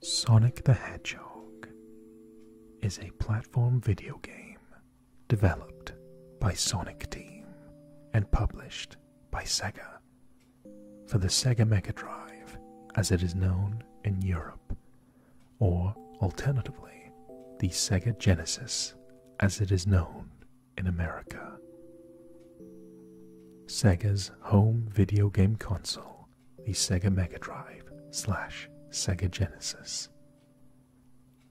Sonic the Hedgehog is a platform video game developed by Sonic Team and published by Sega for the Sega Mega Drive as it is known in Europe, or alternatively, the Sega Genesis as it is known in America. Sega's home video game console, the Sega Mega Drive slash Sega Genesis.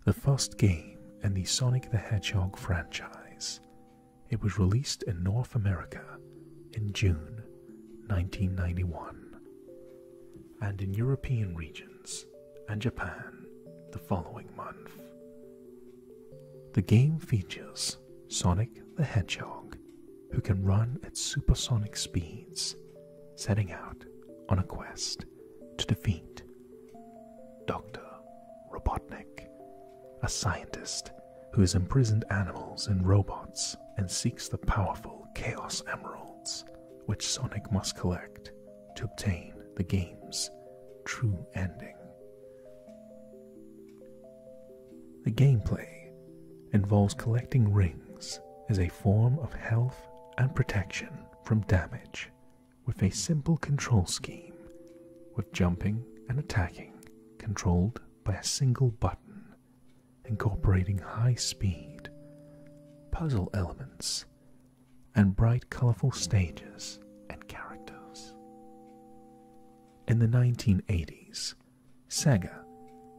The first game in the Sonic the Hedgehog franchise, it was released in North America in June 1991, and in European regions and Japan the following month. The game features Sonic the Hedgehog, who can run at supersonic speeds, setting out on a quest to defeat Dr. Robotnik, a scientist who has imprisoned animals and robots and seeks the powerful Chaos Emeralds, which Sonic must collect to obtain the game's true ending. The gameplay involves collecting rings as a form of health and protection from damage with a simple control scheme, with jumping and attacking controlled by a single button, incorporating high speed, puzzle elements, and bright, colorful stages and characters. In the 1980s, Sega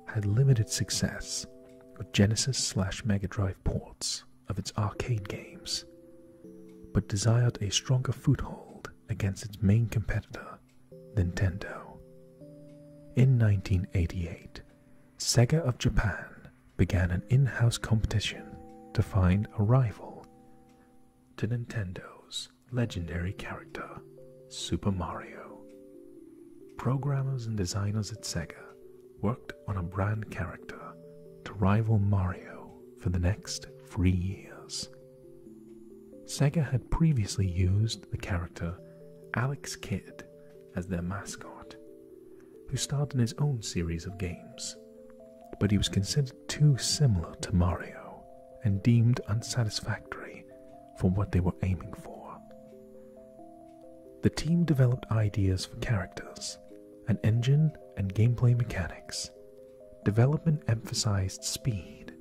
had limited success with Genesis slash Mega Drive ports of its arcade games, but desired a stronger foothold against its main competitor, Nintendo. In 1988, Sega of Japan began an in house competition to find a rival to Nintendo's legendary character, Super Mario. Programmers and designers at Sega worked on a brand character to rival Mario for the next three years. Sega had previously used the character Alex Kidd as their mascot, who starred in his own series of games, but he was considered too similar to Mario and deemed unsatisfactory for what they were aiming for. The team developed ideas for characters, an engine, and gameplay mechanics. Development emphasized speed,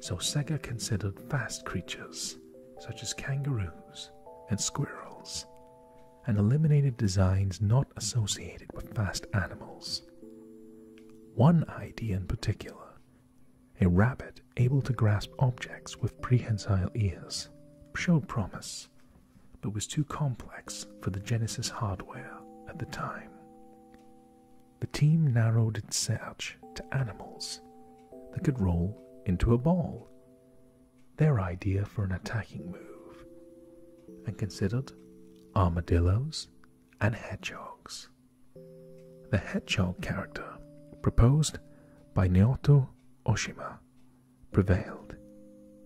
so Sega considered fast creatures such as kangaroos and squirrels, and eliminated designs not associated with fast animals. One idea in particular a rabbit able to grasp objects with prehensile ears showed promise, but was too complex for the Genesis hardware at the time. The team narrowed its search to animals that could roll into a ball, their idea for an attacking move, and considered armadillos and hedgehogs. The hedgehog character, proposed by Naoto Oshima, prevailed.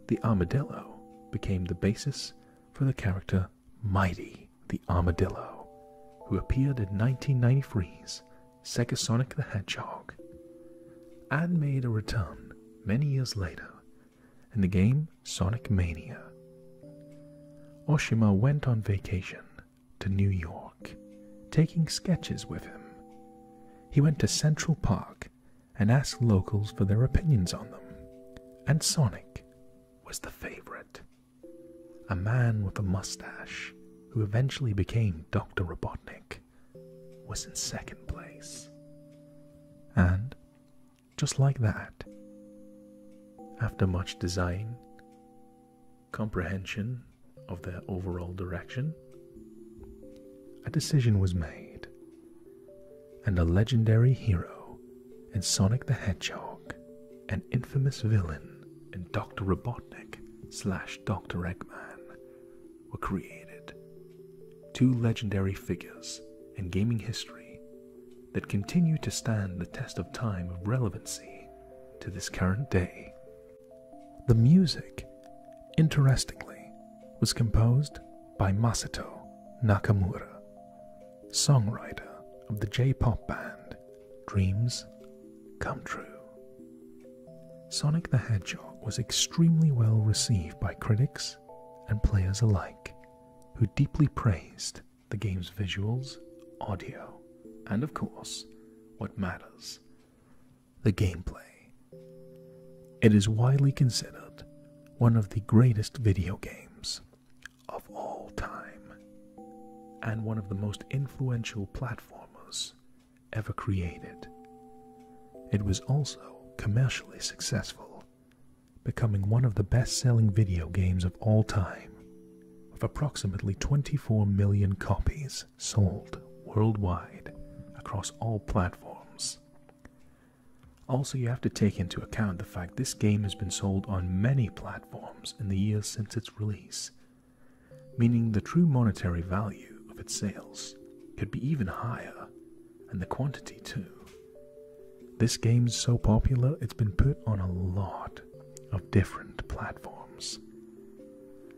The armadillo became the basis for the character Mighty the Armadillo, who appeared in 1993's Sega Sonic the Hedgehog and made a return many years later in the game Sonic Mania. Oshima went on vacation to New York, taking sketches with him. He went to Central Park and asked locals for their opinions on them, and Sonic was the favorite. A man with a mustache, who eventually became Dr. Robotnik, was in second place. And just like that. After much design, comprehension of their overall direction, a decision was made, and a legendary hero in Sonic the Hedgehog, an infamous villain in Dr. Robotnik slash Dr. Eggman, were created. Two legendary figures in gaming history that continue to stand the test of time of relevancy to this current day. The music, interestingly, was composed by Masato Nakamura, songwriter of the J pop band Dreams Come True. Sonic the Hedgehog was extremely well received by critics and players alike, who deeply praised the game's visuals, audio, and of course, what matters the gameplay. It is widely considered one of the greatest video games of all time, and one of the most influential platformers ever created. It was also commercially successful becoming one of the best selling video games of all time, with approximately 24 million copies sold worldwide across all platforms. Also, you have to take into account the fact this game has been sold on many platforms in the years since its release, meaning the true monetary value of its sales could be even higher, and the quantity too. This game's so popular, it's been put on a lot of different platforms.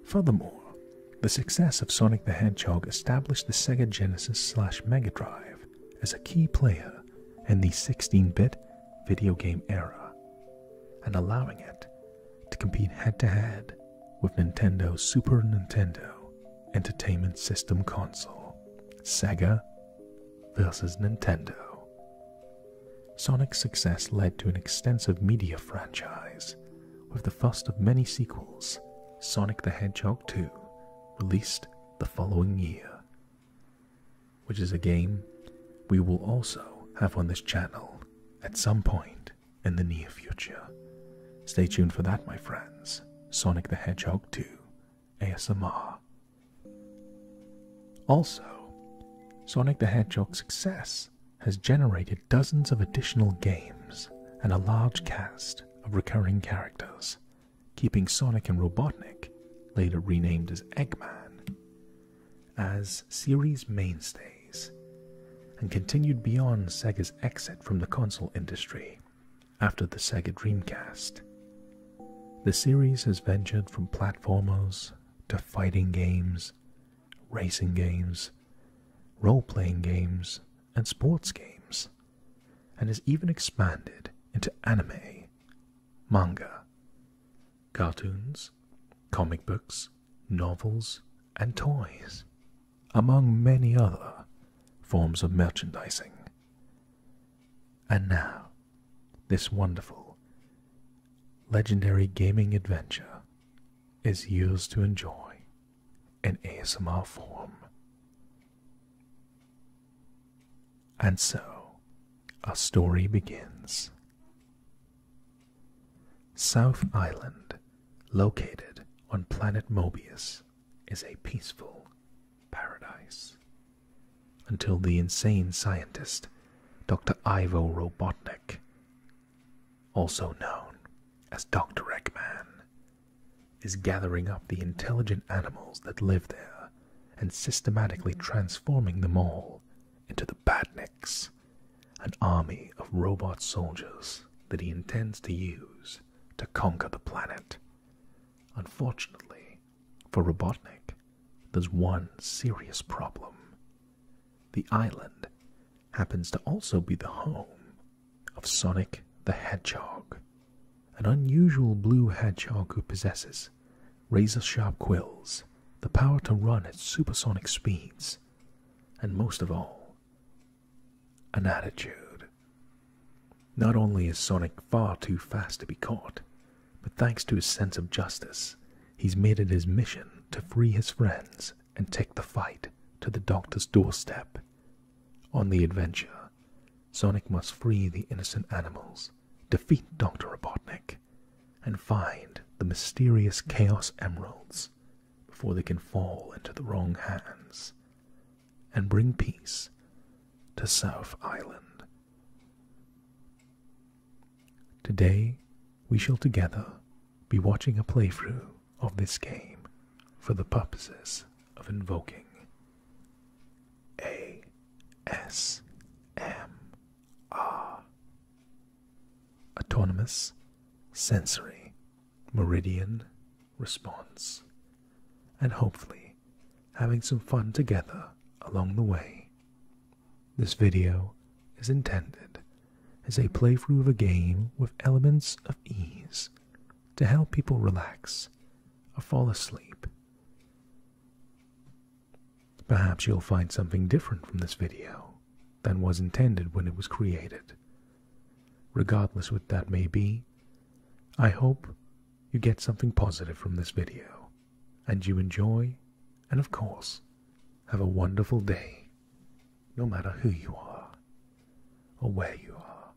Furthermore, the success of Sonic the Hedgehog established the Sega Genesis slash Mega Drive as a key player in the 16 bit video game era and allowing it to compete head to head with Nintendo's Super Nintendo Entertainment System console, Sega versus Nintendo. Sonic's success led to an extensive media franchise, with the first of many sequels, Sonic the Hedgehog 2, released the following year, which is a game we will also have on this channel at some point in the near future. Stay tuned for that, my friends. Sonic the Hedgehog 2 ASMR. Also, Sonic the Hedgehog's success has generated dozens of additional games and a large cast of recurring characters, keeping Sonic and Robotnik, later renamed as Eggman, as series mainstays, and continued beyond Sega's exit from the console industry after the Sega Dreamcast. The series has ventured from platformers to fighting games, racing games, role playing games, and sports games, and has even expanded into anime, manga, cartoons, comic books, novels, and toys, among many other forms of merchandising. And now, this wonderful, legendary gaming adventure is yours to enjoy in ASMR form. And so, our story begins. South Island, located on planet Mobius, is a peaceful paradise until the insane scientist, Dr. Ivo Robotnik, also known as Dr. Eggman, is gathering up the intelligent animals that live there and systematically transforming them all into the Badniks, an army of robot soldiers that he intends to use to conquer the planet. Unfortunately, for Robotnik, there's one serious problem. The island happens to also be the home of Sonic the Hedgehog, an unusual blue hedgehog who possesses razor sharp quills, the power to run at supersonic speeds, and most of all, an attitude. Not only is Sonic far too fast to be caught, but thanks to his sense of justice, he's made it his mission to free his friends and take the fight to the doctor's doorstep. On the adventure, Sonic must free the innocent animals, defeat Dr. Robotnik, and find the mysterious Chaos Emeralds before they can fall into the wrong hands and bring peace to South Island. Today, we shall together be watching a playthrough of this game for the purposes of invoking ASMR Autonomous Sensory Meridian Response and hopefully having some fun together along the way. This video is intended as a playthrough of a game with elements of ease to help people relax or fall asleep. Perhaps you'll find something different from this video than was intended when it was created. Regardless what that may be, I hope you get something positive from this video and you enjoy and, of course, have a wonderful day, no matter who you are or where you are.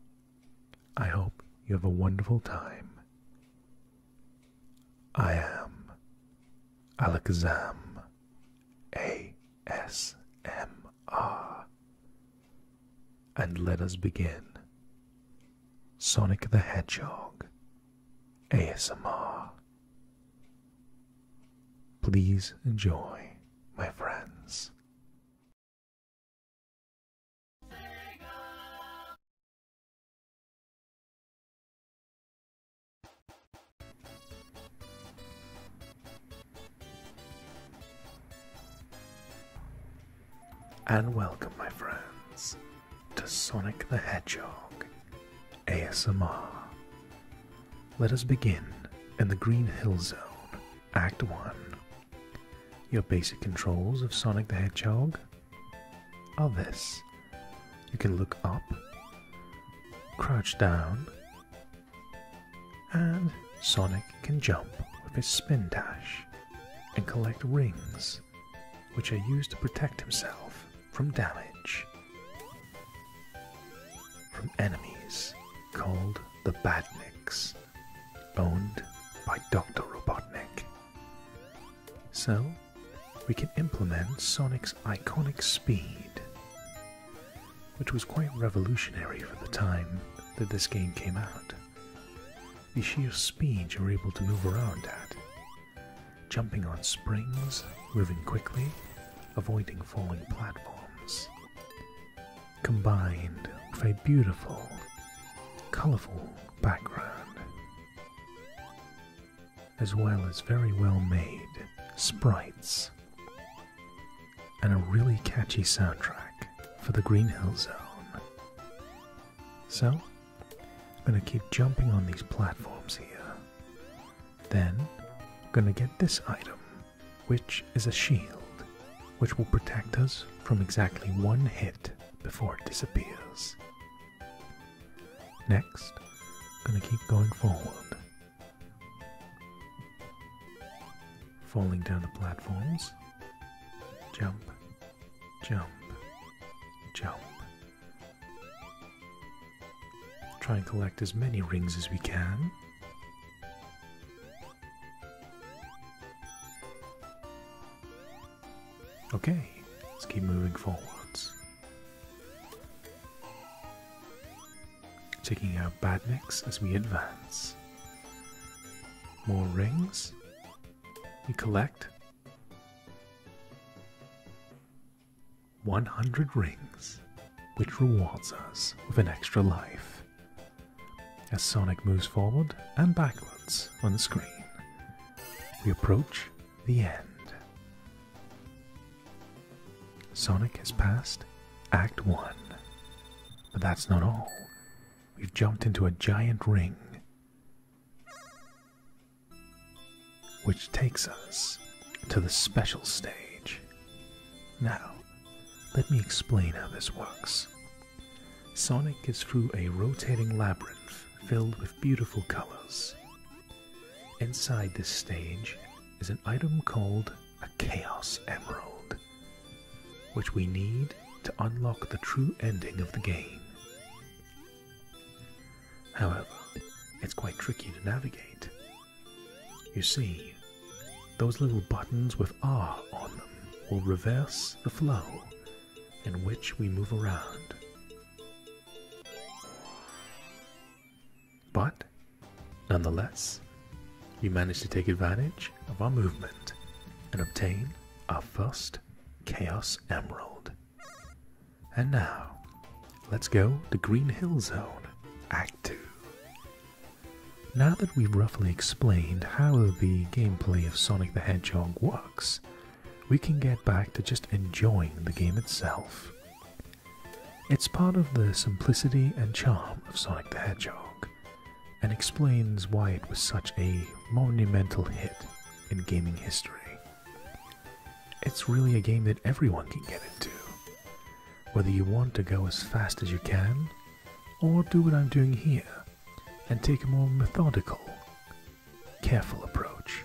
I hope you have a wonderful time. I am Alexam, ASMR. And let us begin Sonic the Hedgehog ASMR. Please enjoy, my friends and welcome, my friends, to Sonic the Hedgehog ASMR. Let us begin in the Green Hill Zone, Act 1. Your basic controls of Sonic the Hedgehog are this you can look up, crouch down, and Sonic can jump with his spin dash and collect rings which are used to protect himself from damage from enemies called the Badniks, owned by Dr. Robotnik. So, we can implement Sonic's iconic speed, which was quite revolutionary for the time that this game came out the sheer speed you're able to move around at. Jumping on springs, moving quickly, avoiding falling platforms. Combined with a beautiful, colorful background. As well as very well made sprites. And a really catchy soundtrack for the Green Hill Zone. So, I'm going to keep jumping on these platforms here. Then, I'm going to get this item, which is a shield, which will protect us from exactly one hit before it disappears. Next, I'm going to keep going forward. Falling down the platforms. Jump, jump, jump. Try and collect as many rings as we can. Okay, let's keep moving forwards. Taking out badniks as we advance. More rings. We collect 100 rings, which rewards us with an extra life. As Sonic moves forward and backwards on the screen, we approach the end. Sonic has passed Act 1. But that's not all. We've jumped into a giant ring. Which takes us to the special stage. Now, let me explain how this works. Sonic gets through a rotating labyrinth filled with beautiful colors. Inside this stage is an item called a Chaos Emerald, which we need to unlock the true ending of the game. However, it's quite tricky to navigate. You see, those little buttons with R on them will reverse the flow in which we move around. But, nonetheless, we managed to take advantage of our movement and obtain our first Chaos Emerald. And now, let's go to Green Hill Zone, Act 2. Now that we've roughly explained how the gameplay of Sonic the Hedgehog works, we can get back to just enjoying the game itself. It's part of the simplicity and charm of Sonic the Hedgehog, and explains why it was such a monumental hit in gaming history. It's really a game that everyone can get into. Whether you want to go as fast as you can, or do what I'm doing here and take a more methodical, careful approach.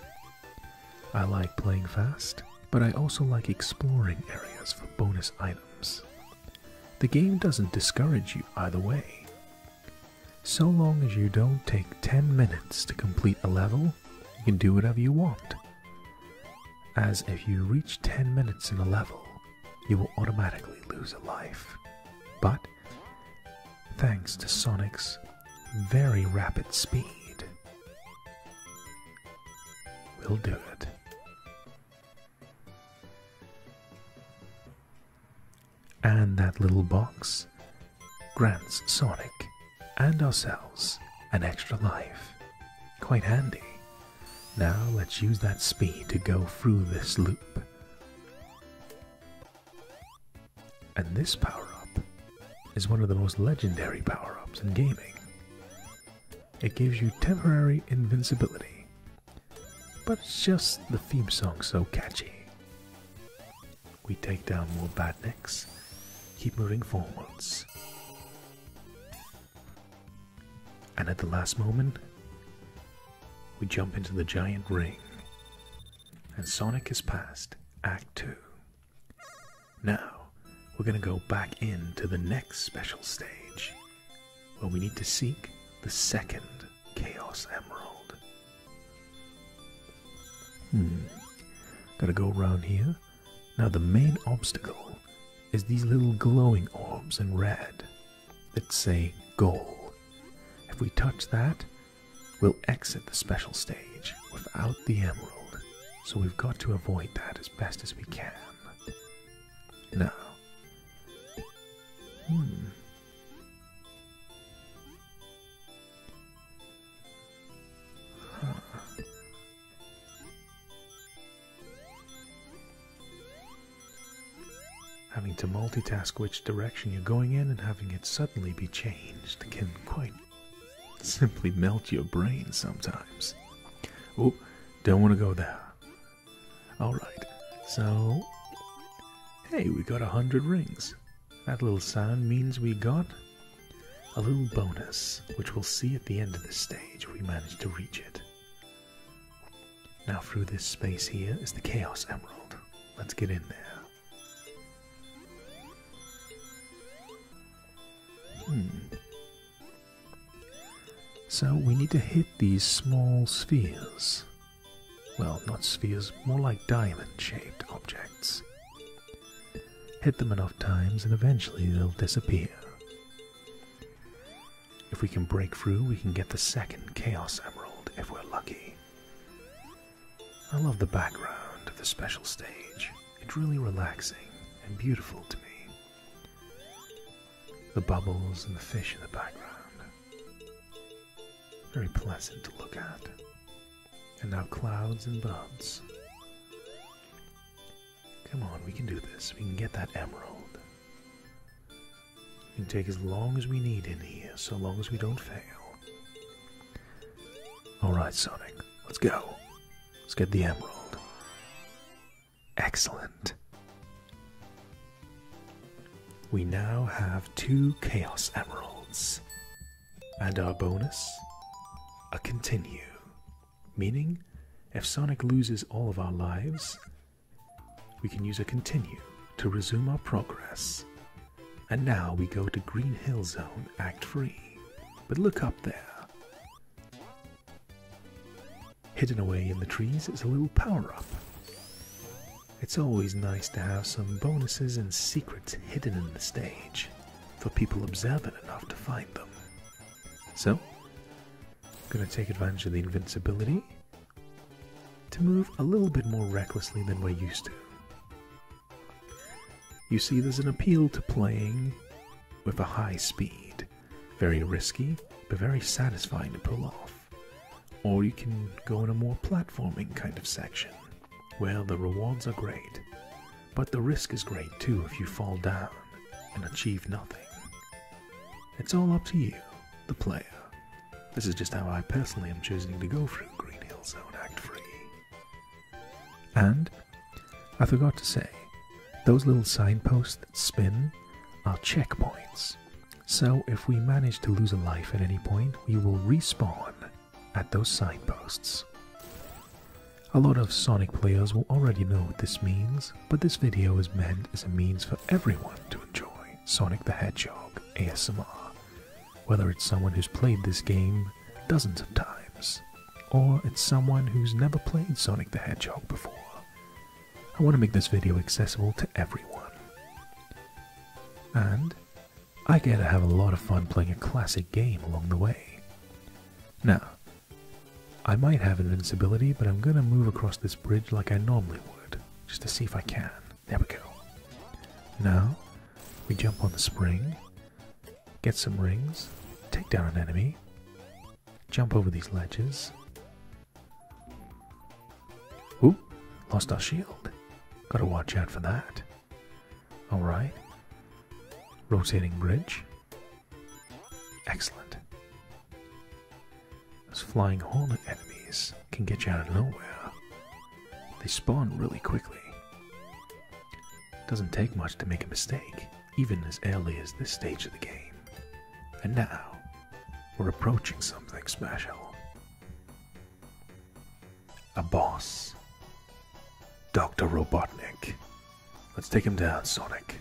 I like playing fast, but I also like exploring areas for bonus items. The game doesn't discourage you either way, so long as you don't take 10 minutes to complete a level, you can do whatever you want. As if you reach 10 minutes in a level, you will automatically lose a life. But, thanks to Sonic's very rapid speed, we'll do it. And that little box grants Sonic and ourselves an extra life. Quite handy. Now let's use that speed to go through this loop. And this power up is one of the most legendary power ups in gaming. It gives you temporary invincibility, but it's just the theme song so catchy. We take down more badniks. Keep moving forwards. And at the last moment, we jump into the giant ring. And Sonic has passed Act 2. Now, we're going to go back into the next special stage, where we need to seek the second Chaos Emerald. Hmm. Gotta go around here. Now the main obstacle is these little glowing orbs in red that say goal. If we touch that, we'll exit the special stage without the emerald. So we've got to avoid that as best as we can. Now. Hmm. Having to multitask which direction you're going in and having it suddenly be changed can quite simply melt your brain sometimes. Oh, don't want to go there. Alright, so. Hey, we got a hundred rings. That little sound means we got a little bonus, which we'll see at the end of this stage if we manage to reach it. Now through this space here is the Chaos Emerald. Let's get in there. Hmm. So we need to hit these small spheres. Well, not spheres, more like diamond-shaped objects. Hit them enough times and eventually they'll disappear. If we can break through, we can get the second Chaos Emerald if we're lucky. I love the background of the special stage. It's really relaxing and beautiful to me. The bubbles and the fish in the background. Very pleasant to look at. And now clouds and buds. Come on, we can do this. We can get that emerald. We can take as long as we need in here, so long as we don't fail. Alright, Sonic, let's go. Let's get the emerald. Excellent. We now have two Chaos Emeralds. And our bonus? A continue. Meaning, if Sonic loses all of our lives, we can use a continue to resume our progress. And now we go to Green Hill Zone Act 3. But look up there. Hidden away in the trees is a little power up. It's always nice to have some bonuses and secrets hidden in the stage for people observant enough to find them. So, I'm going to take advantage of the invincibility to move a little bit more recklessly than we're used to. You see, there's an appeal to playing with a high speed. Very risky, but very satisfying to pull off. Or you can go in a more platforming kind of section. Well, the rewards are great, but the risk is great too if you fall down and achieve nothing. It's all up to you, the player. This is just how I personally am choosing to go through Green Hill Zone Act 3. And, I forgot to say, those little signposts that spin are checkpoints. So if we manage to lose a life at any point, we will respawn at those signposts. A lot of Sonic players will already know what this means, but this video is meant as a means for everyone to enjoy Sonic the Hedgehog ASMR, whether it's someone who's played this game dozens of times, or it's someone who's never played Sonic the Hedgehog before. I want to make this video accessible to everyone. And I get to have a lot of fun playing a classic game along the way. Now, I might have invincibility, but I'm gonna move across this bridge like I normally would, just to see if I can. There we go. Now, we jump on the spring, get some rings, take down an enemy, jump over these ledges. Oop, lost our shield. Gotta watch out for that. All right. Rotating bridge. Excellent. Those flying horned enemies can get you out of nowhere. They spawn really quickly. It Doesn't take much to make a mistake, even as early as this stage of the game. And now, we're approaching something special a boss. Dr. Robotnik. Let's take him down, Sonic.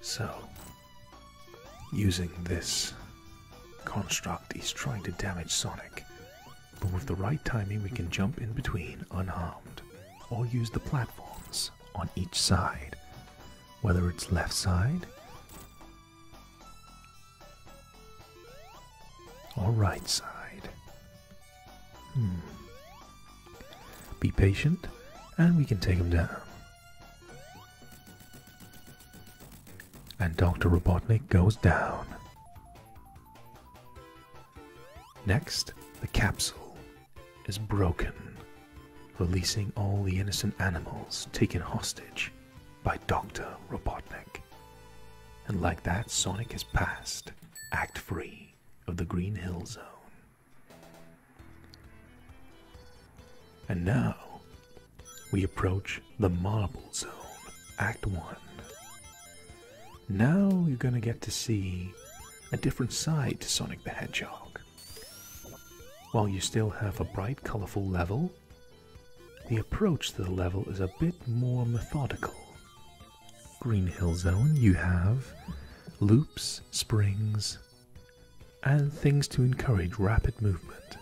So, using this construct, he's trying to damage Sonic. But with the right timing, we can jump in between unharmed, or use the platforms on each side, whether it's left side or right side? Hmm. Be patient and we can take him down. And Dr. Robotnik goes down. Next, the capsule is broken, releasing all the innocent animals taken hostage by Dr. Robotnik. And like that, Sonic has passed Act Free of the Green Hill Zone. And now we approach the Marble Zone, Act 1. Now you're going to get to see a different side to Sonic the Hedgehog. While you still have a bright, colorful level, the approach to the level is a bit more methodical. Green Hill Zone, you have loops, springs, and things to encourage rapid movement.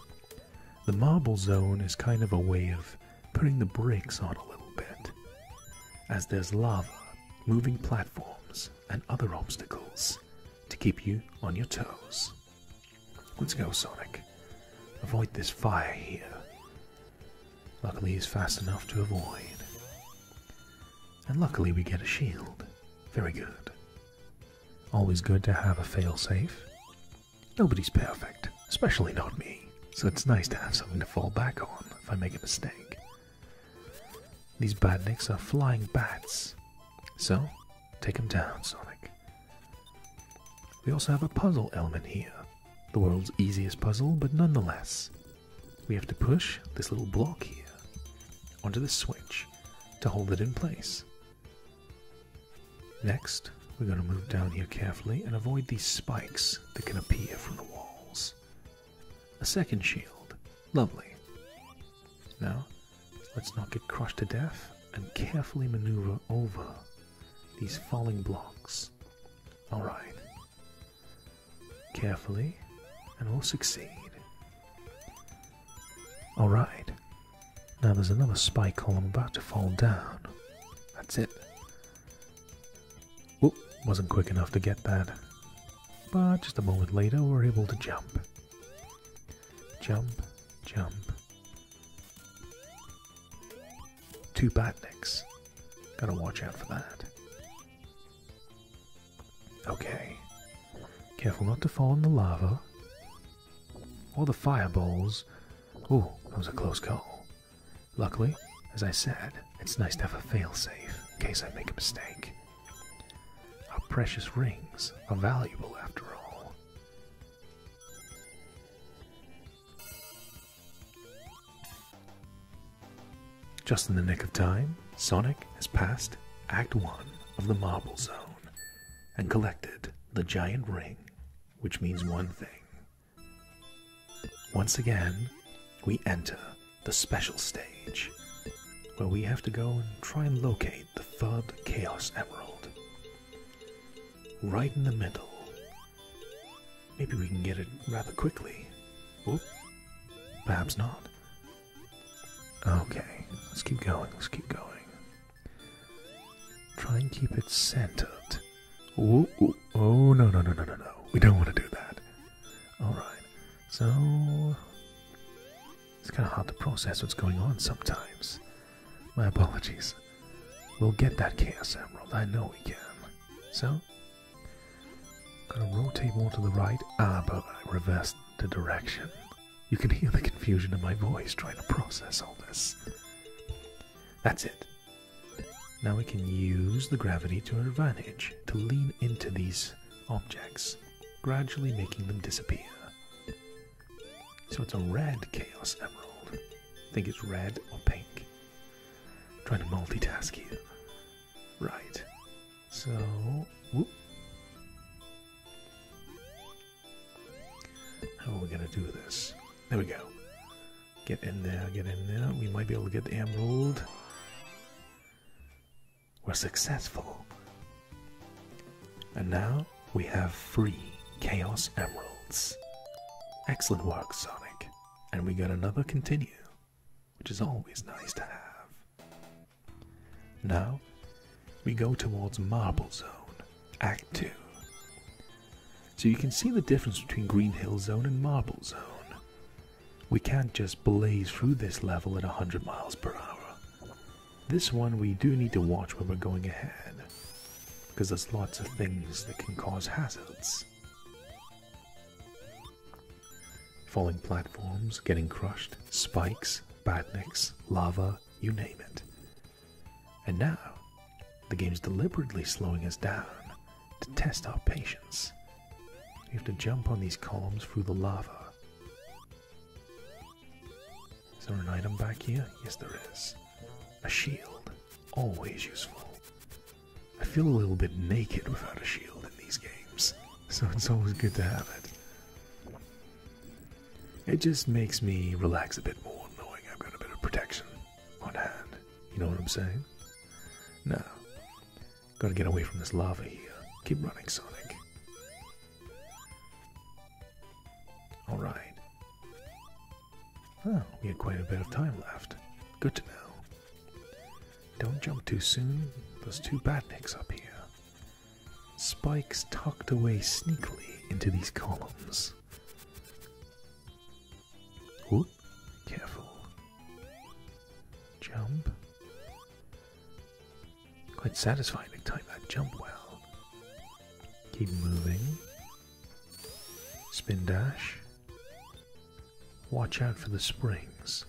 The Marble Zone is kind of a way of putting the brakes on a little bit, as there's lava, moving platforms, and other obstacles to keep you on your toes. Let's go, Sonic. Avoid this fire here. Luckily, he's fast enough to avoid. And luckily, we get a shield. Very good. Always good to have a failsafe. Nobody's perfect, especially not me, so it's nice to have something to fall back on if I make a mistake. These badniks are flying bats, so take them down, Sonic. We also have a puzzle element here. The world's easiest puzzle, but nonetheless, we have to push this little block here onto the switch to hold it in place. Next, we're going to move down here carefully and avoid these spikes that can appear from the walls. A second shield. Lovely. Now, Let's not get crushed to death and carefully maneuver over these falling blocks. Alright. Carefully, and we'll succeed. Alright. Now there's another spike I'm about to fall down. That's it. Oop, wasn't quick enough to get that. But just a moment later, we're able to jump. Jump, jump, Two Batniks. Gotta watch out for that. Okay. Careful not to fall in the lava. Or the fireballs. Ooh, that was a close call. Luckily, as I said, it's nice to have a failsafe in case I make a mistake. Our precious rings are valuable after all. Just in the nick of time, Sonic has passed Act 1 of the Marble Zone and collected the giant ring, which means one thing. Once again, we enter the special stage, where we have to go and try and locate the third Chaos Emerald. Right in the middle. Maybe we can get it rather quickly. Oop. Perhaps not. Okay, let's keep going, let's keep going. Try and keep it centered. Ooh, Oh, no, no, no, no, no, no. We don't want to do that. Alright, so. It's kind of hard to process what's going on sometimes. My apologies. We'll get that Chaos Emerald, I know we can. So, gonna rotate more to the right. Ah, but I reversed the direction. You can hear the confusion in my voice trying to process all this. That's it. Now we can use the gravity to our advantage to lean into these objects, gradually making them disappear. So it's a red Chaos Emerald. I think it's red or pink. trying to multitask here. Right. So, How are we going to do this? There we go. Get in there, get in there. We might be able to get the emerald. We're successful. And now, we have free Chaos Emeralds. Excellent work, Sonic. And we got another continue, which is always nice to have. Now, we go towards Marble Zone, Act 2. So you can see the difference between Green Hill Zone and Marble Zone. We can't just blaze through this level at 100 miles per hour. This one we do need to watch when we're going ahead because there's lots of things that can cause hazards. Falling platforms, getting crushed, spikes, badniks, lava, you name it. And now, the game is deliberately slowing us down to test our patience. We have to jump on these columns through the lava. Is there an item back here? Yes, there is. A shield. Always useful. I feel a little bit naked without a shield in these games, so it's always good to have it. It just makes me relax a bit more knowing I've got a bit of protection on hand. You know what I'm saying? Now, gotta get away from this lava here. Keep running, Sonic. Alright we had quite a bit of time left. Good to know. Don't jump too soon. Those two batniks up here. Spikes tucked away sneakily into these columns. Whoop. Careful. Jump. Quite satisfying to time that jump well. Keep moving. Spin dash. Watch out for the springs.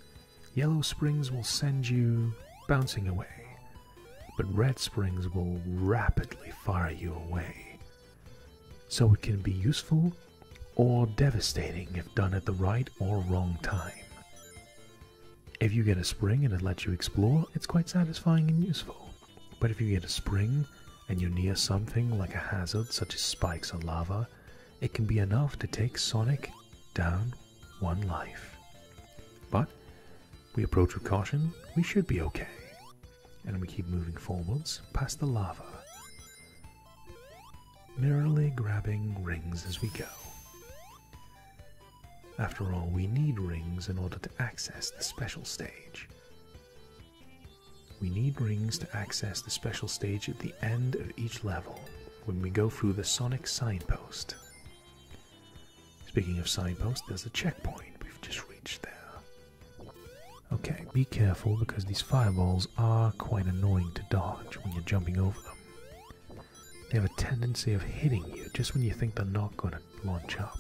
Yellow springs will send you bouncing away, but red springs will rapidly fire you away. So it can be useful or devastating if done at the right or wrong time. If you get a spring and it lets you explore, it's quite satisfying and useful. But if you get a spring and you're near something like a hazard such as spikes or lava, it can be enough to take Sonic down one life. But we approach with caution, we should be okay. And we keep moving forwards past the lava, merrily grabbing rings as we go. After all, we need rings in order to access the special stage. We need rings to access the special stage at the end of each level when we go through the sonic signpost. Speaking of signposts, there's a checkpoint we've just reached there. Okay, be careful because these fireballs are quite annoying to dodge when you're jumping over them. They have a tendency of hitting you just when you think they're not going to launch up.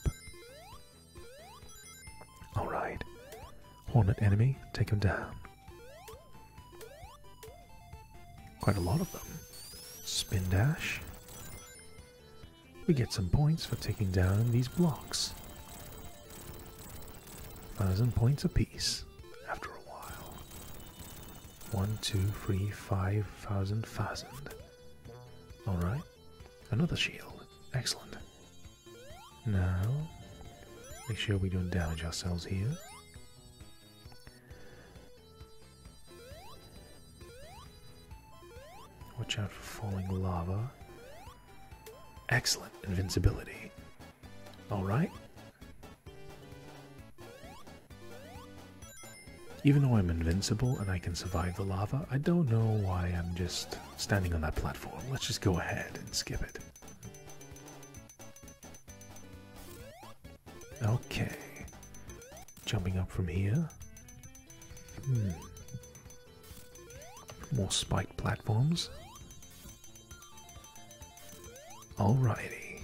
Alright. Hornet enemy, take him down. Quite a lot of them. Spin dash. We get some points for taking down these blocks. Thousand points apiece after a while. One, two, three, five thousand, thousand. Alright. Another shield. Excellent. Now, make sure we don't damage ourselves here. Watch out for falling lava. Excellent invincibility. Alright. Even though I'm invincible and I can survive the lava, I don't know why I'm just standing on that platform. Let's just go ahead and skip it. Okay. Jumping up from here. Hmm. More spiked platforms. Alrighty.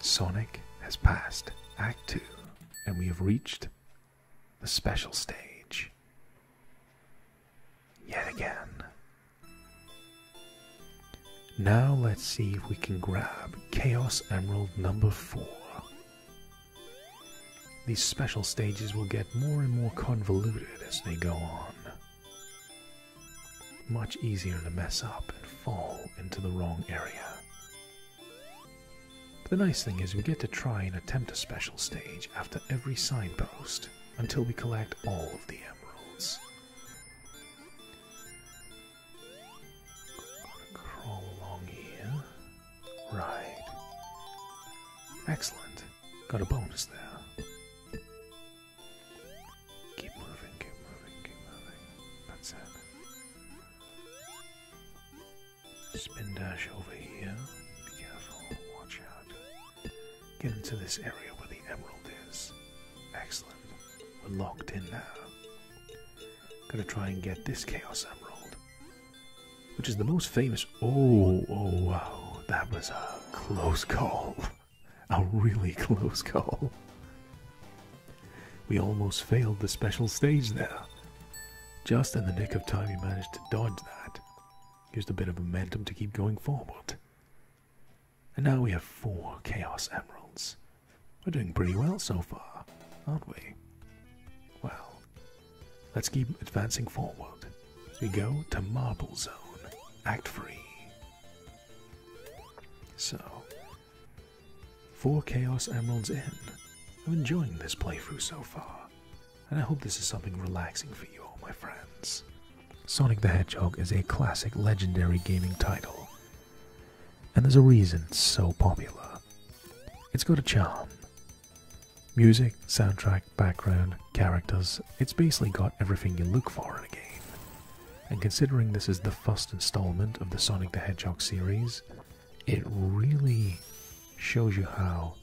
Sonic has passed Act 2, and we have reached the special stage. Yet again. Now let's see if we can grab Chaos Emerald number 4. These special stages will get more and more convoluted as they go on. Much easier to mess up and fall into the wrong area. The nice thing is we get to try and attempt a special stage after every signpost until we collect all of the emeralds. Crawl along here. Right. Excellent. Got a bonus there. Keep moving, keep moving, keep moving. That's it. Spin dash over here. Be careful, watch out. Get into this area where the emerald is. Excellent. We're locked in now. got to try and get this Chaos Emerald. Which is the most famous. Oh, oh wow. That was a close call. A really close call. We almost failed the special stage there. Just in the nick of time, he managed to dodge that. Used a bit of momentum to keep going forward. And now we have four Chaos Emeralds. We're doing pretty well so far, aren't we? Well, let's keep advancing forward. We go to Marble Zone, Act 3. So, four Chaos Emeralds in. I'm enjoying this playthrough so far, and I hope this is something relaxing for you all, my friends. Sonic the Hedgehog is a classic legendary gaming title, and there's a reason it's so popular. It's got a charm. Music, soundtrack, background, characters, it's basically got everything you look for in a game and considering this is the first installment of the Sonic the Hedgehog series, it really shows you how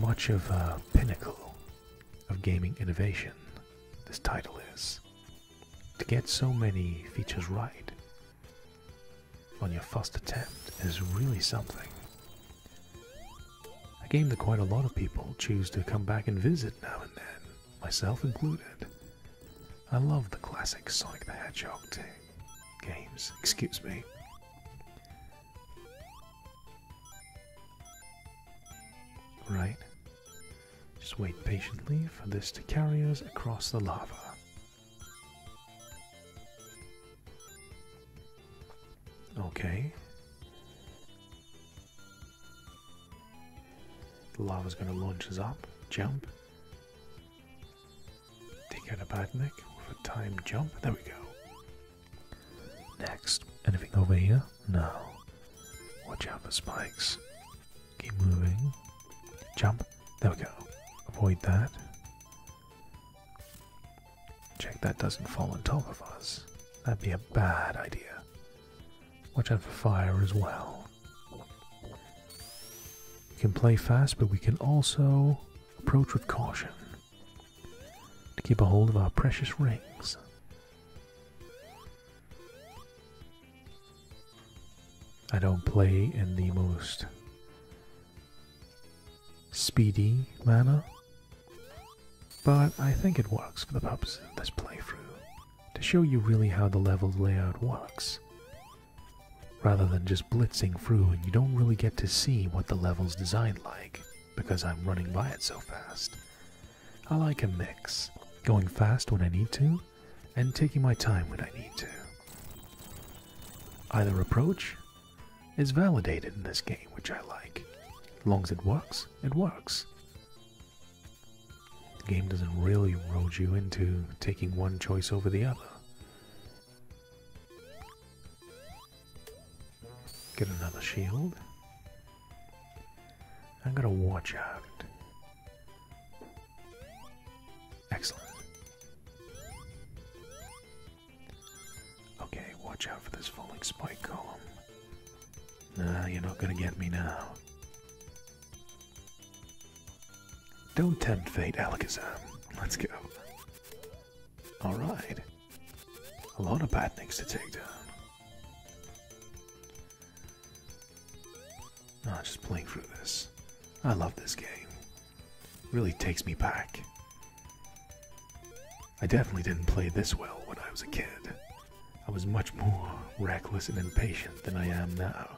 much of a pinnacle of gaming innovation this title is. To get so many features right on your first attempt is really something. A game that quite a lot of people choose to come back and visit now and then, myself included. I love the classic Sonic the Hedgehog t- games, excuse me. Right. Just wait patiently for this to carry us across the lava. Okay. The lava's going to launch us up. Jump. Take out a bad neck with a time jump. There we go. Next. Anything over here? No. Watch out for spikes. Keep moving. Jump. There we go. Avoid that. Check that doesn't fall on top of us. That'd be a bad idea. Watch out for fire as well. We can play fast, but we can also approach with caution to keep a hold of our precious rings. I don't play in the most speedy manner, but I think it works for the purpose of this playthrough, to show you really how the level layout works. Rather than just blitzing through and you don't really get to see what the level's designed like, because I'm running by it so fast. I like a mix, going fast when I need to, and taking my time when I need to. Either approach is validated in this game, which I like. As long as it works, it works. The game doesn't really road you into taking one choice over the other. Get another shield. I'm gonna watch out. Excellent. Okay, watch out for this falling spike column. Nah, you're not gonna get me now. Don't tempt fate, Alakazam. Let's go. Alright. A lot of bad things to take down. Ah, oh, just playing through this. I love this game. Really takes me back. I definitely didn't play this well when I was a kid. I was much more reckless and impatient than I am now.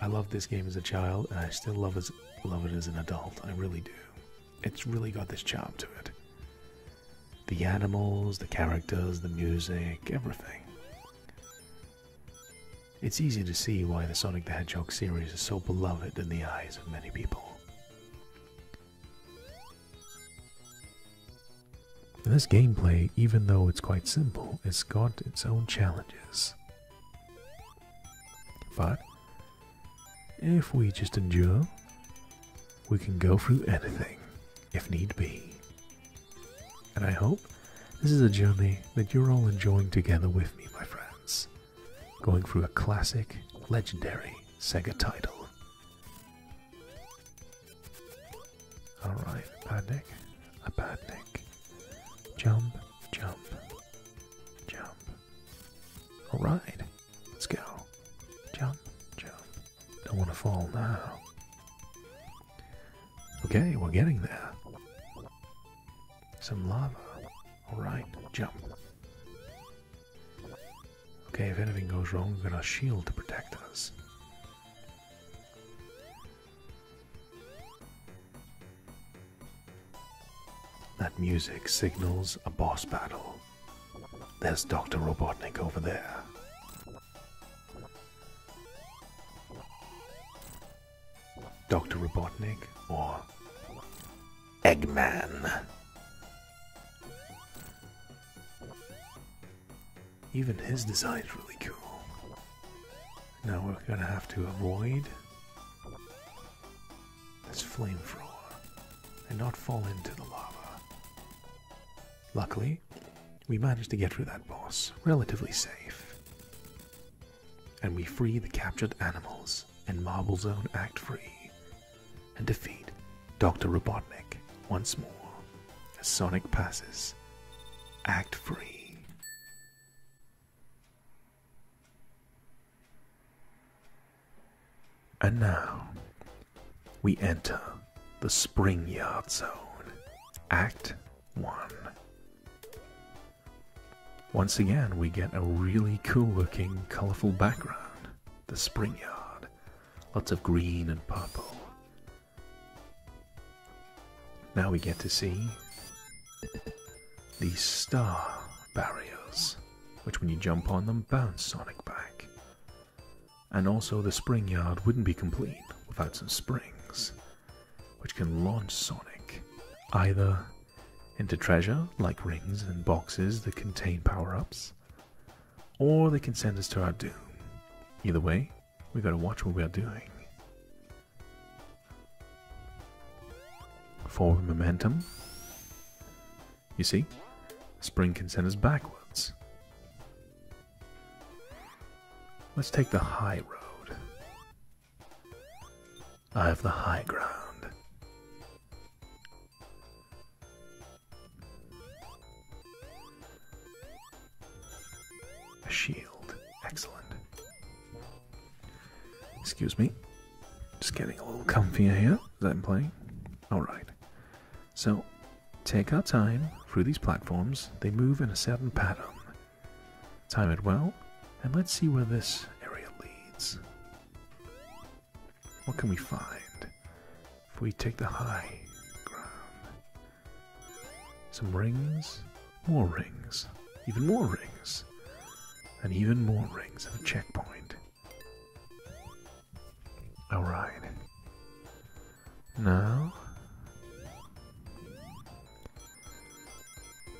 I loved this game as a child, and I still love, love it as an adult. I really do. It's really got this charm to it. The animals, the characters, the music, everything. It's easy to see why the Sonic the Hedgehog series is so beloved in the eyes of many people this gameplay, even though it's quite simple, has got its own challenges. But if we just endure, we can go through anything if need be. And I hope this is a journey that you're all enjoying together with me, my friends, going through a classic, legendary Sega title. Alright, a bad neck, a bad neck. Jump, jump, jump. Alright, let's go. Jump, jump. Don't want to fall now. Okay, we're getting there. Some lava. Alright, jump. Okay, if anything goes wrong, we've got a shield to protect us. That music signals a boss battle. There's Dr. Robotnik over there. Dr. Robotnik or Eggman. Even his design is really cool. Now we're gonna have to avoid this flame flamethrower and not fall into the lava. Luckily, we managed to get through that boss relatively safe. And we free the captured animals, and Marble Zone Act Free and defeat Dr. Robotnik once more as Sonic passes act free. And now we enter the Spring Yard Zone, Act 1. Once again, we get a really cool looking, colorful background, the Spring Yard, lots of green and purple. Now we get to see these star barriers, which when you jump on them bounce Sonic back. And also, the spring yard wouldn't be complete without some springs, which can launch Sonic either into treasure like rings and boxes that contain power ups, or they can send us to our doom. Either way, we gotta watch what we are doing. Forward momentum. You see, spring can send us backwards. Let's take the high road. I have the high ground. A shield. Excellent. Excuse me. Just getting a little comfier here as i play. Alright. So, take our time through these platforms. They move in a certain pattern. Time it well, and let's see where this area leads. What can we find? if we take the high ground. Some rings, more rings, even more rings, and even more rings at a checkpoint. Alright. Now.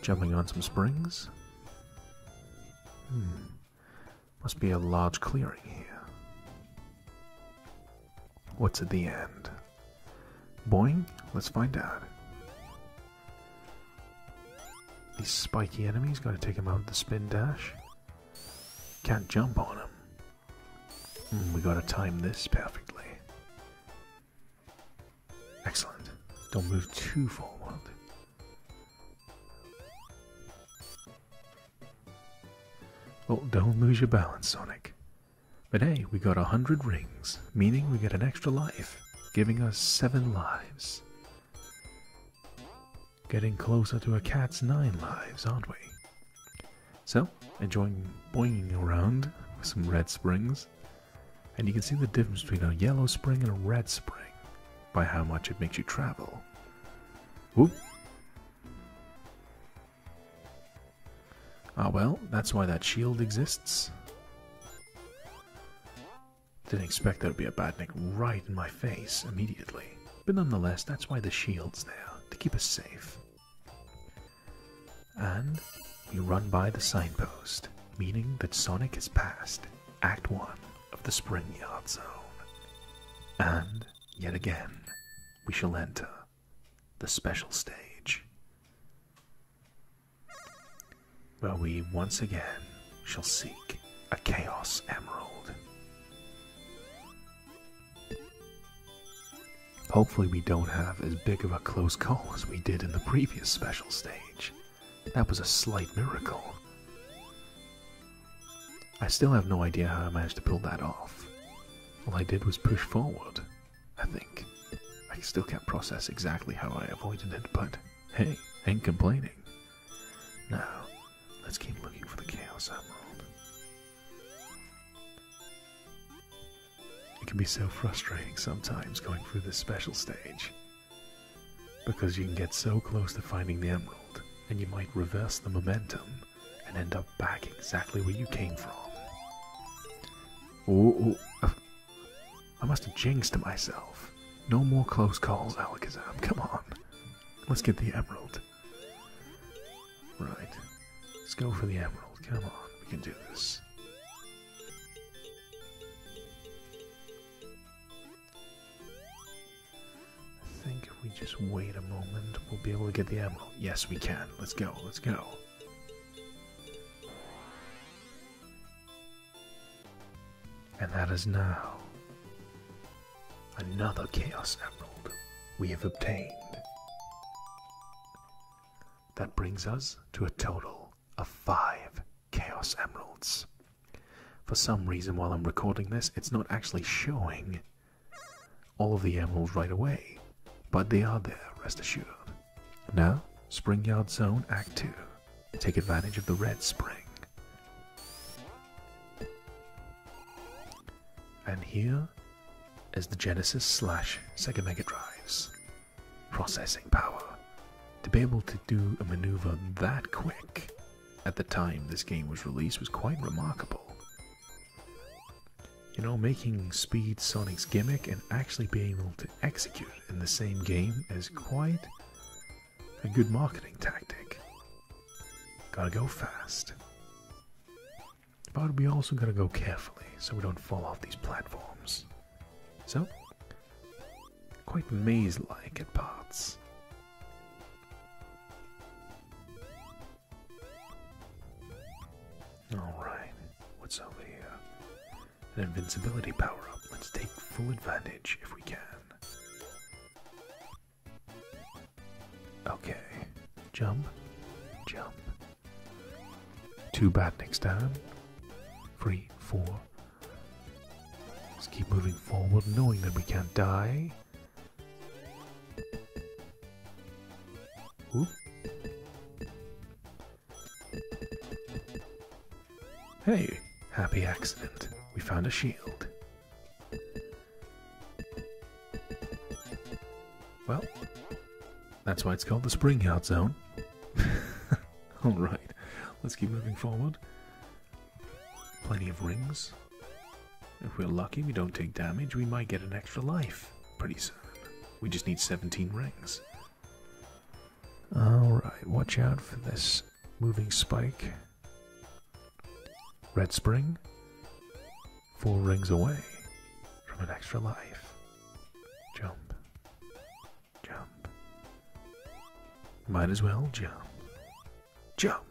Jumping on some springs. Hmm. Must be a large clearing here. What's at the end? Boing? Let's find out. These spiky enemies, gotta take him out with the spin dash. Can't jump on him. Hmm, we gotta time this perfectly. Excellent. Don't move too forward. Well, oh, don't lose your balance, Sonic. But hey, we got a hundred rings, meaning we get an extra life, giving us seven lives. Getting closer to a cat's nine lives, aren't we? So, enjoying boinging around with some red springs. And you can see the difference between a yellow spring and a red spring by how much it makes you travel. Whoop! Ah well, that's why that shield exists. Didn't expect there would be a badnik right in my face immediately. But nonetheless, that's why the shield's there, to keep us safe. And we run by the signpost, meaning that Sonic has passed Act 1 of the Spring Yard Zone. And, yet again, we shall enter the special stage, where we once again shall seek a Chaos Emerald. Hopefully, we don't have as big of a close call as we did in the previous special stage. That was a slight miracle. I still have no idea how I managed to pull that off. All I did was push forward, I think. I still can't process exactly how I avoided it, but hey, ain't complaining. Now, let's keep looking for the Chaos Emerald. It can be so frustrating sometimes going through this special stage. Because you can get so close to finding the Emerald, and you might reverse the momentum and end up back exactly where you came from. Ooh, I must have jinxed myself. No more close calls, Alakazam. Come on. Let's get the emerald. Right. Let's go for the emerald. Come on. We can do this. I think if we just wait a moment, we'll be able to get the emerald. Yes, we can. Let's go, let's go. And that is now another Chaos Emerald we have obtained. That brings us to a total of five Chaos Emeralds. For some reason, while I'm recording this, it's not actually showing all of the emeralds right away, but they are there, rest assured. Now, Spring Yard Zone Act 2. Take advantage of the red spring. And here is the Genesis slash Sega Mega Drive's processing power. To be able to do a maneuver that quick at the time this game was released was quite remarkable. You know, making Speed Sonic's gimmick and actually being able to execute in the same game is quite a good marketing tactic. Gotta go fast. But we also gotta go carefully so we don't fall off these platforms. So, quite maze-like at parts. Alright, what's over here? An invincibility power up. Let's take full advantage if we can. Okay, jump, jump. Too bad next time. Three, four. Let's keep moving forward, knowing that we can't die. Ooh. Hey, happy accident. We found a shield. Well, that's why it's called the Spring Yard Zone. Alright, let's keep moving forward. Plenty of rings. If we're lucky, we don't take damage, we might get an extra life pretty soon. We just need 17 rings. Alright, watch out for this moving spike. Red Spring, four rings away from an extra life. Jump, jump. Might as well jump. Jump!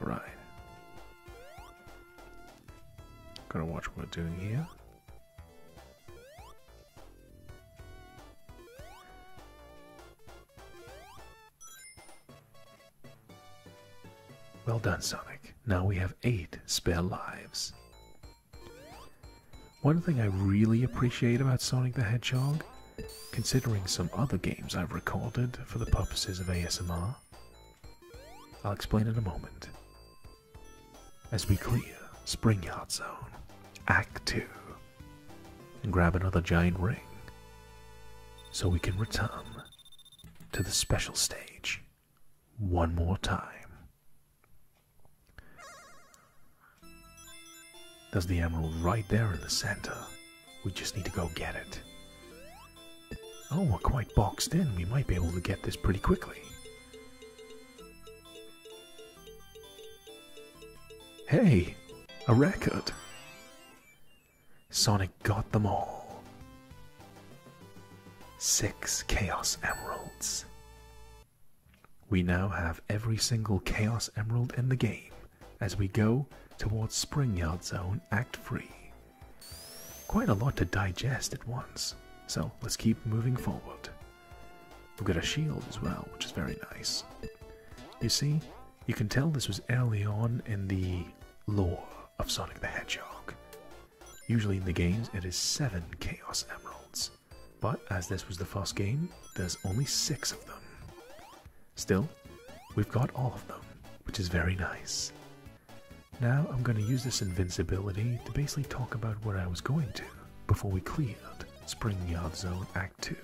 Right. Gotta watch what we're doing here. Well done, Sonic. Now we have eight spare lives. One thing I really appreciate about Sonic the Hedgehog, considering some other games I've recorded for the purposes of ASMR, I'll explain in a moment. As we clear Spring Yard Zone, Act 2, and grab another giant ring, so we can return to the special stage one more time. There's the emerald right there in the center, we just need to go get it. Oh, we're quite boxed in. We might be able to get this pretty quickly. Hey, a record! Sonic got them all. Six Chaos Emeralds. We now have every single Chaos Emerald in the game as we go towards Spring Yard Zone Act 3. Quite a lot to digest at once. So let's keep moving forward. We've got a shield as well, which is very nice. You see, you can tell this was early on in the lore of Sonic the Hedgehog. Usually in the games, it is seven Chaos Emeralds. But as this was the first game, there's only six of them. Still, we've got all of them, which is very nice. Now I'm going to use this invincibility to basically talk about what I was going to before we cleared Spring Yard Zone Act 2.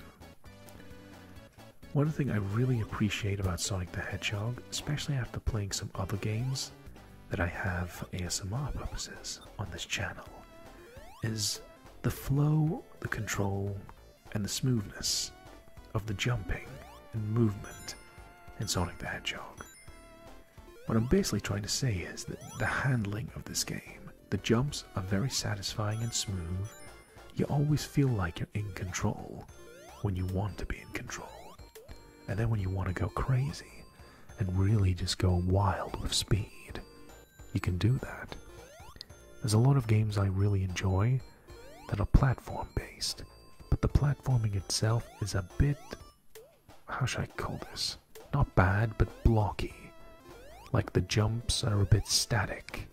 One thing I really appreciate about Sonic the Hedgehog, especially after playing some other games that I have for ASMR purposes on this channel, is the flow, the control, and the smoothness of the jumping and movement in Sonic the Hedgehog. What I'm basically trying to say is that the handling of this game, the jumps are very satisfying and smooth. You always feel like you're in control when you want to be in control. And then when you want to go crazy and really just go wild with speed, you can do that. There's a lot of games I really enjoy that are platform based, but the platforming itself is a bit. how should I call this? Not bad, but blocky. Like the jumps are a bit static.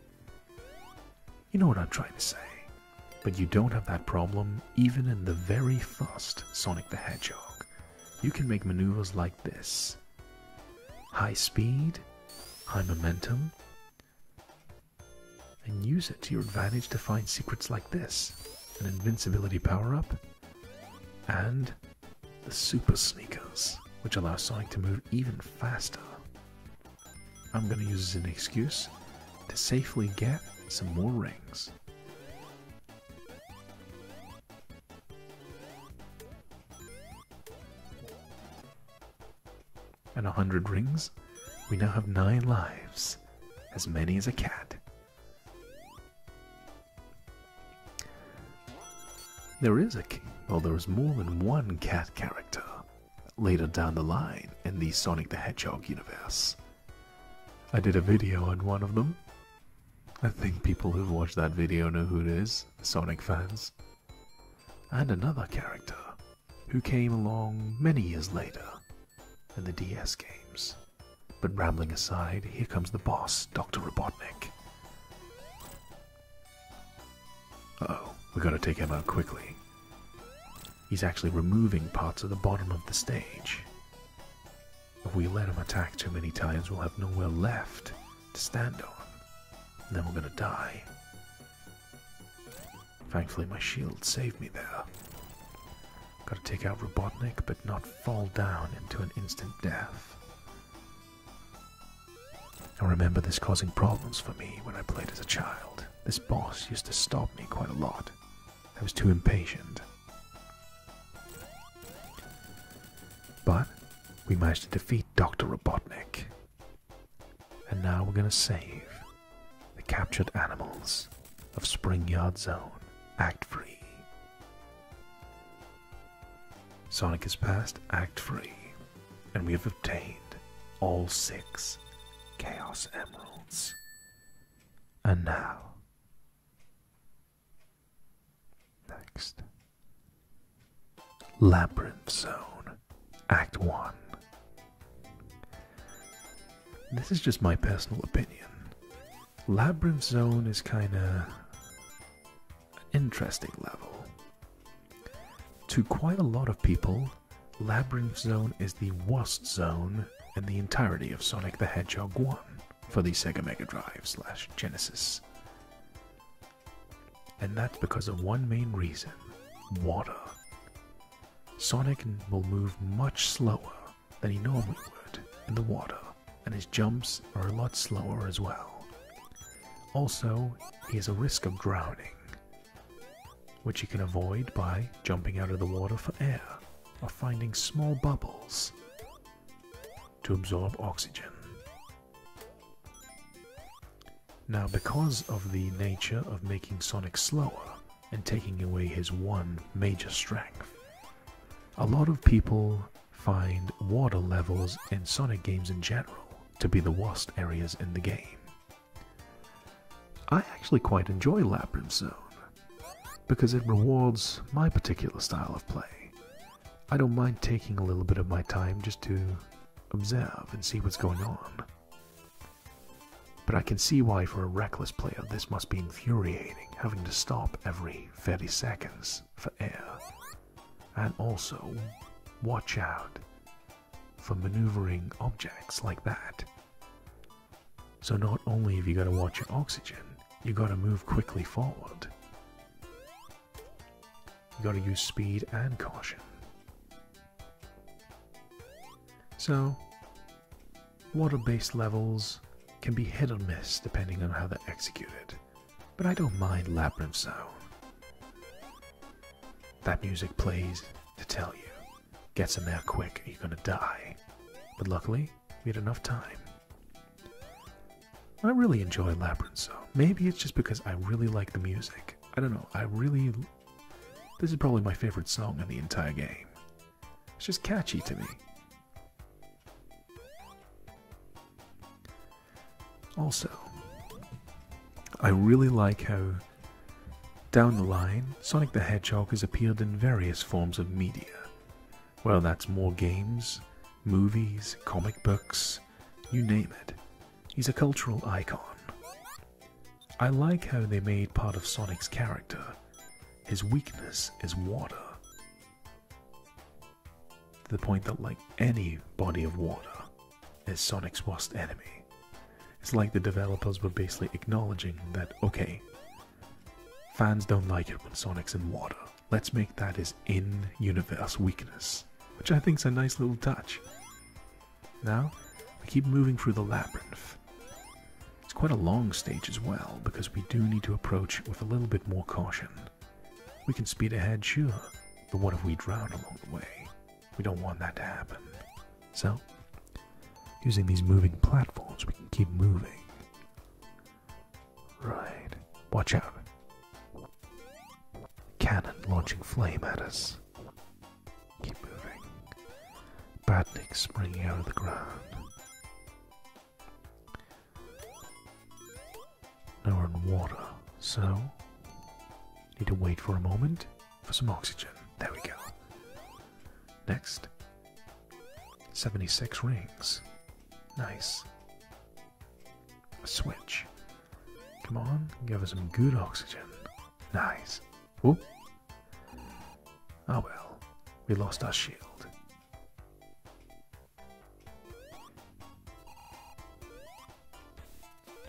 You know what I'm trying to say. But you don't have that problem even in the very first Sonic the Hedgehog. You can make maneuvers like this high speed, high momentum, and use it to your advantage to find secrets like this an invincibility power up, and the super sneakers, which allow Sonic to move even faster. I'm going to use as an excuse to safely get some more rings and a hundred rings, we now have nine lives, as many as a cat. There is a king, well, there is more than one cat character later down the line in the Sonic the Hedgehog universe. I did a video on one of them. I think people who've watched that video know who it is, Sonic fans. And another character, who came along many years later, and the DS games. But rambling aside, here comes the boss, Dr. Robotnik. oh, we gotta take him out quickly. He's actually removing parts of the bottom of the stage. If we let him attack too many times, we'll have nowhere left to stand on. And then we're gonna die. Thankfully, my shield saved me there. Gotta take out Robotnik, but not fall down into an instant death. I remember this causing problems for me when I played as a child. This boss used to stop me quite a lot. I was too impatient. But we managed to defeat Dr. Robotnik. And now we're gonna save. The captured animals of Spring Yard Zone act free. Sonic has passed Act Free, and we have obtained all six Chaos Emeralds. And now, next Labyrinth Zone, Act 1 this is just my personal opinion. Labyrinth Zone is kind of interesting level. To quite a lot of people, Labyrinth Zone is the worst zone in the entirety of Sonic the Hedgehog 1 for the Sega Mega Drive slash Genesis. And that's because of one main reason water. Sonic will move much slower than he normally would in the water, and his jumps are a lot slower as well. Also, he has a risk of drowning, which he can avoid by jumping out of the water for air or finding small bubbles to absorb oxygen. Now, because of the nature of making Sonic slower, and taking away his one major strength. A lot of people find water levels in Sonic games in general to be the worst areas in the game. I actually quite enjoy Labyrinth Zone because it rewards my particular style of play. I don't mind taking a little bit of my time just to observe and see what's going on. But I can see why, for a reckless player, this must be infuriating, having to stop every 30 seconds for air. And also, watch out for maneuvering objects like that. So, not only have you got to watch your oxygen, you have got to move quickly forward. You have got to use speed and caution. So, Water-based levels can be hit or miss depending on how they're executed, but I don't mind Labyrinth Zone. That music plays to tell you. Get some air quick or you're gonna die. But luckily, we had enough time. I really enjoy Labyrinth Zone. Maybe it's just because I really like the music. I don't know, I really... This is probably my favorite song in the entire game. It's just catchy to me. Also, I really like how, down the line, Sonic the Hedgehog has appeared in various forms of media. Whether that's more games, movies, comic books, you name it. He's a cultural icon. I like how they made part of Sonic's character. His weakness is water. To the point that, like any body of water, is Sonic's worst enemy. It's like the developers were basically acknowledging that, okay, fans don't like it when Sonic's in water. Let's make that his in universe weakness, which I think's a nice little touch. Now, we keep moving through the labyrinth. It's quite a long stage as well, because we do need to approach with a little bit more caution. We can speed ahead, sure, but what if we drown along the way? We don't want that to happen. So, using these moving platforms, we can keep moving. Right. Watch out. Cannon launching flame at us. Keep moving. Badnik springing out of the ground. Now we're in water, so need to wait for a moment for some oxygen. There we go. Next, 76 rings. Nice. A switch. Come on, give us some good oxygen. Nice. Oh, oh well, we lost our shield.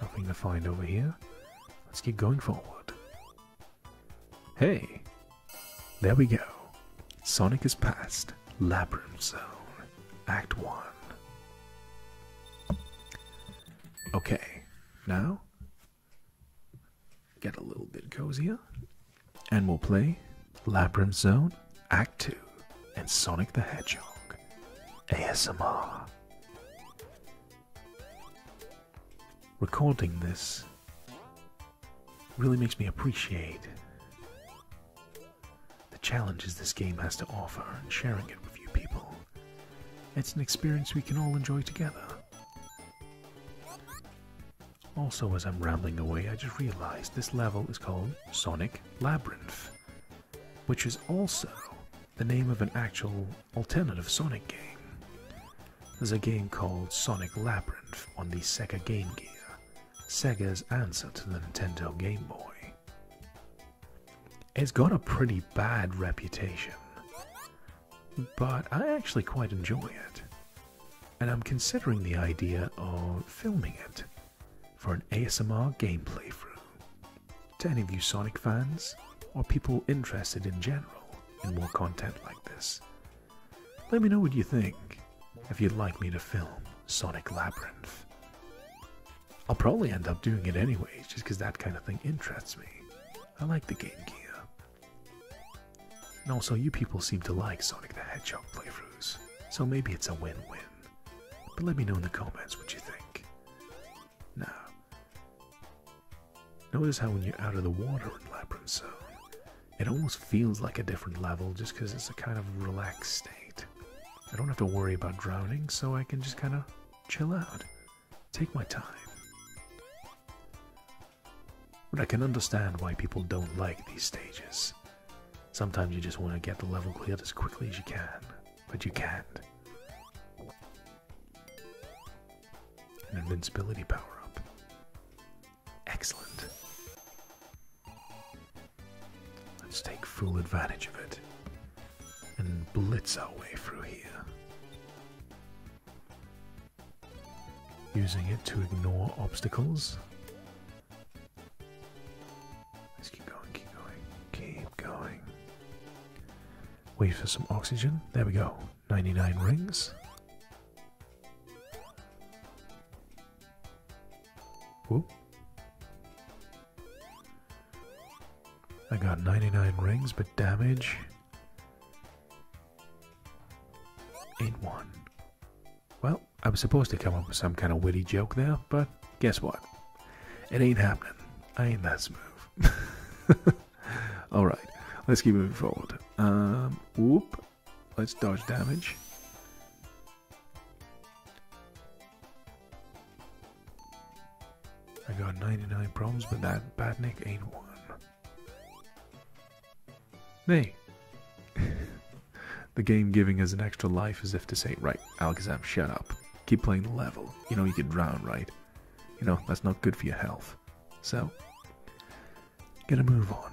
Nothing to find over here. Let's keep going forward. Hey! There we go. Sonic is past. Labyrinth Zone. Act 1. Okay, now Get a little bit cozier, and we'll play Laprim Zone Act 2 and Sonic the Hedgehog ASMR. Recording this really makes me appreciate the challenges this game has to offer and sharing it with you people. It's an experience we can all enjoy together. Also, as I'm rambling away, I just realized this level is called Sonic Labyrinth, which is also the name of an actual alternative Sonic game. There's a game called Sonic Labyrinth on the Sega Game Gear, Sega's answer to the Nintendo Game Boy. It's got a pretty bad reputation but I actually quite enjoy it. And I'm considering the idea of filming it for an ASMR gameplay through. To any of you Sonic fans, or people interested in general in more content like this, let me know what you think if you'd like me to film Sonic Labyrinth. I'll probably end up doing it anyways, just because that kind of thing interests me. I like the Game Gear. And also, you people seem to like Sonic the Hedgehog playthroughs, so maybe it's a win-win. But let me know in the comments what you think. Now, notice how when you're out of the water in Labyrinth Zone, it almost feels like a different level just because it's a kind of relaxed state. I don't have to worry about drowning, so I can just kind of chill out, take my time. But I can understand why people don't like these stages. Sometimes you just want to get the level cleared as quickly as you can, but you can't. invincibility power up. Excellent. Let's take full advantage of it and blitz our way through here using it to ignore obstacles. Let's keep going, keep going, keep going. Wait for some oxygen. There we go. 99 rings. Whoop. I got 99 rings, but damage in one. Well, I was supposed to come up with some kind of witty joke there, but guess what? It ain't happening. I ain't that smooth. Alright, let's keep moving forward. Um, whoop. Let's dodge damage. I got 99 problems, but that Badnik ain't one. Nay. the game giving us an extra life as if to say, right, Alakazam, shut up. Keep playing the level. You know you could drown, right? You know, that's not good for your health. So, gonna move on.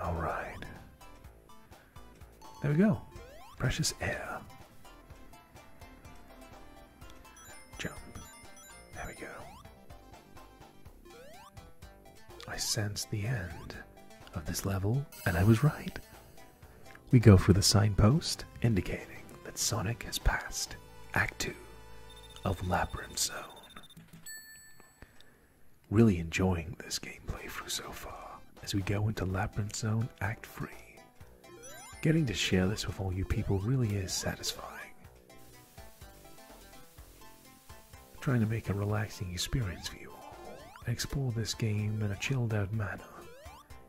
Alright. There we go. Precious air. Jump. There we go. I sensed the end of this level, and I was right. We go for the signpost indicating that Sonic has passed Act 2 of Labyrinth Zone. Really enjoying this gameplay through so far as we go into Labyrinth Zone Act 3 Getting to share this with all you people really is satisfying. trying to make a relaxing experience for you all and explore this game in a chilled out manner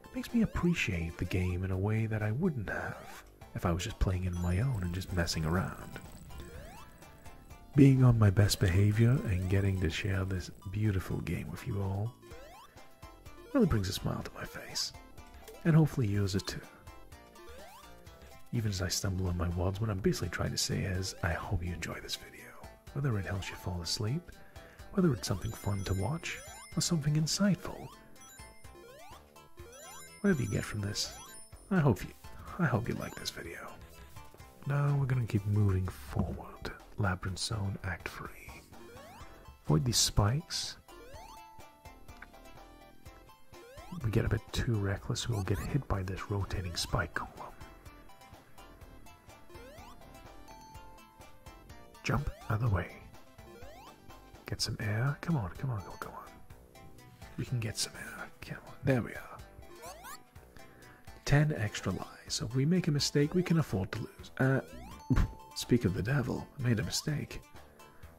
it makes me appreciate the game in a way that I wouldn't have if I was just playing in my own and just messing around. Being on my best behavior and getting to share this beautiful game with you all Really brings a smile to my face, and hopefully yours too. Even as I stumble on my words, what I'm basically trying to say is, I hope you enjoy this video. Whether it helps you fall asleep, whether it's something fun to watch, or something insightful. Whatever you get from this, I hope you I hope you like this video. Now we're gonna keep moving forward. Labyrinth Zone Act 3. Avoid these spikes. If we get a bit too reckless, we'll get hit by this rotating spike Jump other way. Get some air. Come on, come on, come on, on. We can get some air. Come on. There we are. 10 extra lives. if we make a mistake, we can afford to uh, speak of the devil, I made a mistake.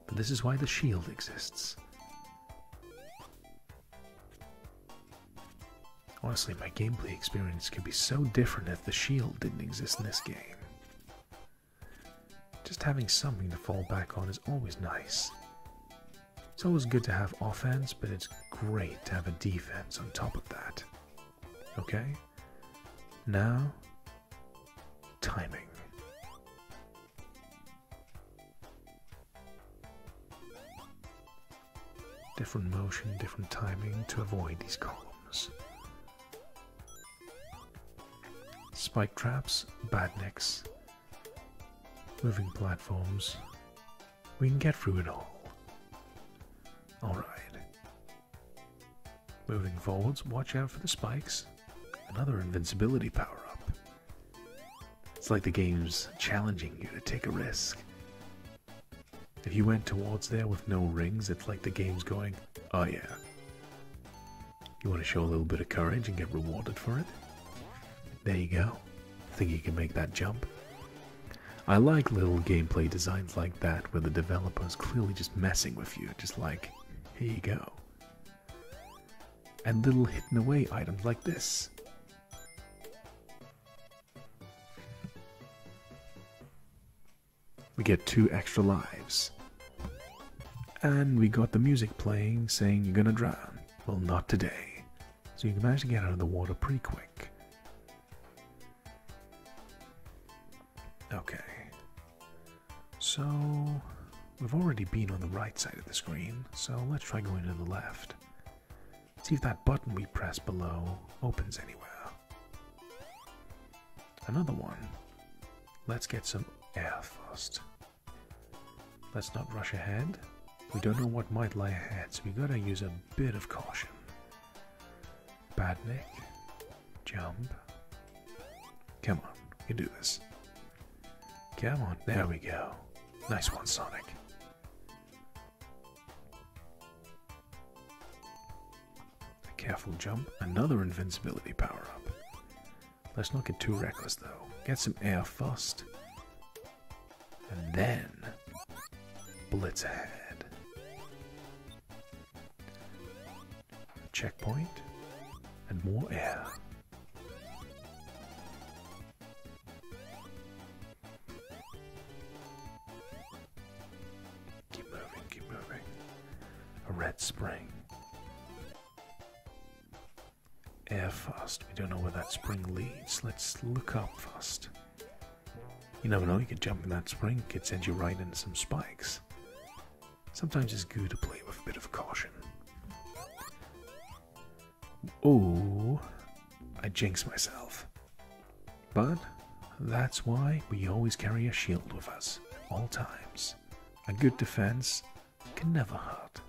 But this is why the shield exists. Honestly, my gameplay experience could be so different if the shield didn't exist in this game. Just having something to fall back on is always nice. It's always good to have offense, but it's great to have a defense on top of that. Okay? Now, timing. Different motion, different timing to avoid these columns. Spike traps, bad necks, moving platforms. We can get through it all. Alright. Moving forwards, watch out for the spikes. Another invincibility power up. It's like the game's challenging you to take a risk. If you went towards there with no rings, it's like the game's going, oh yeah. You want to show a little bit of courage and get rewarded for it? There you go. Think you can make that jump? I like little gameplay designs like that where the developer's clearly just messing with you, just like, here you go. And little hidden away items like this. We get two extra lives. And we got the music playing saying you're gonna drown. Well, not today. So you can manage to get out of the water pretty quick. Okay. So, we've already been on the right side of the screen, so let's try going to the left. See if that button we press below opens anywhere. Another one. Let's get some air first. Let's not rush ahead. We don't know what might lie ahead, so we gotta use a bit of caution. Bad neck. Jump. Come on, you do this. Come on, there we go. Nice one, Sonic. A careful jump, another invincibility power up. Let's not get too reckless though. Get some air first. And then blitz ahead. Checkpoint and more air. Keep moving, keep moving. A red spring. Air first. We don't know where that spring leads. Let's look up first. You never know, you could jump in that spring, could send you right into some spikes. Sometimes it's good to play with a bit of caution. Oh, I jinxed myself. But that's why we always carry a shield with us, at all times. A good defense can never hurt.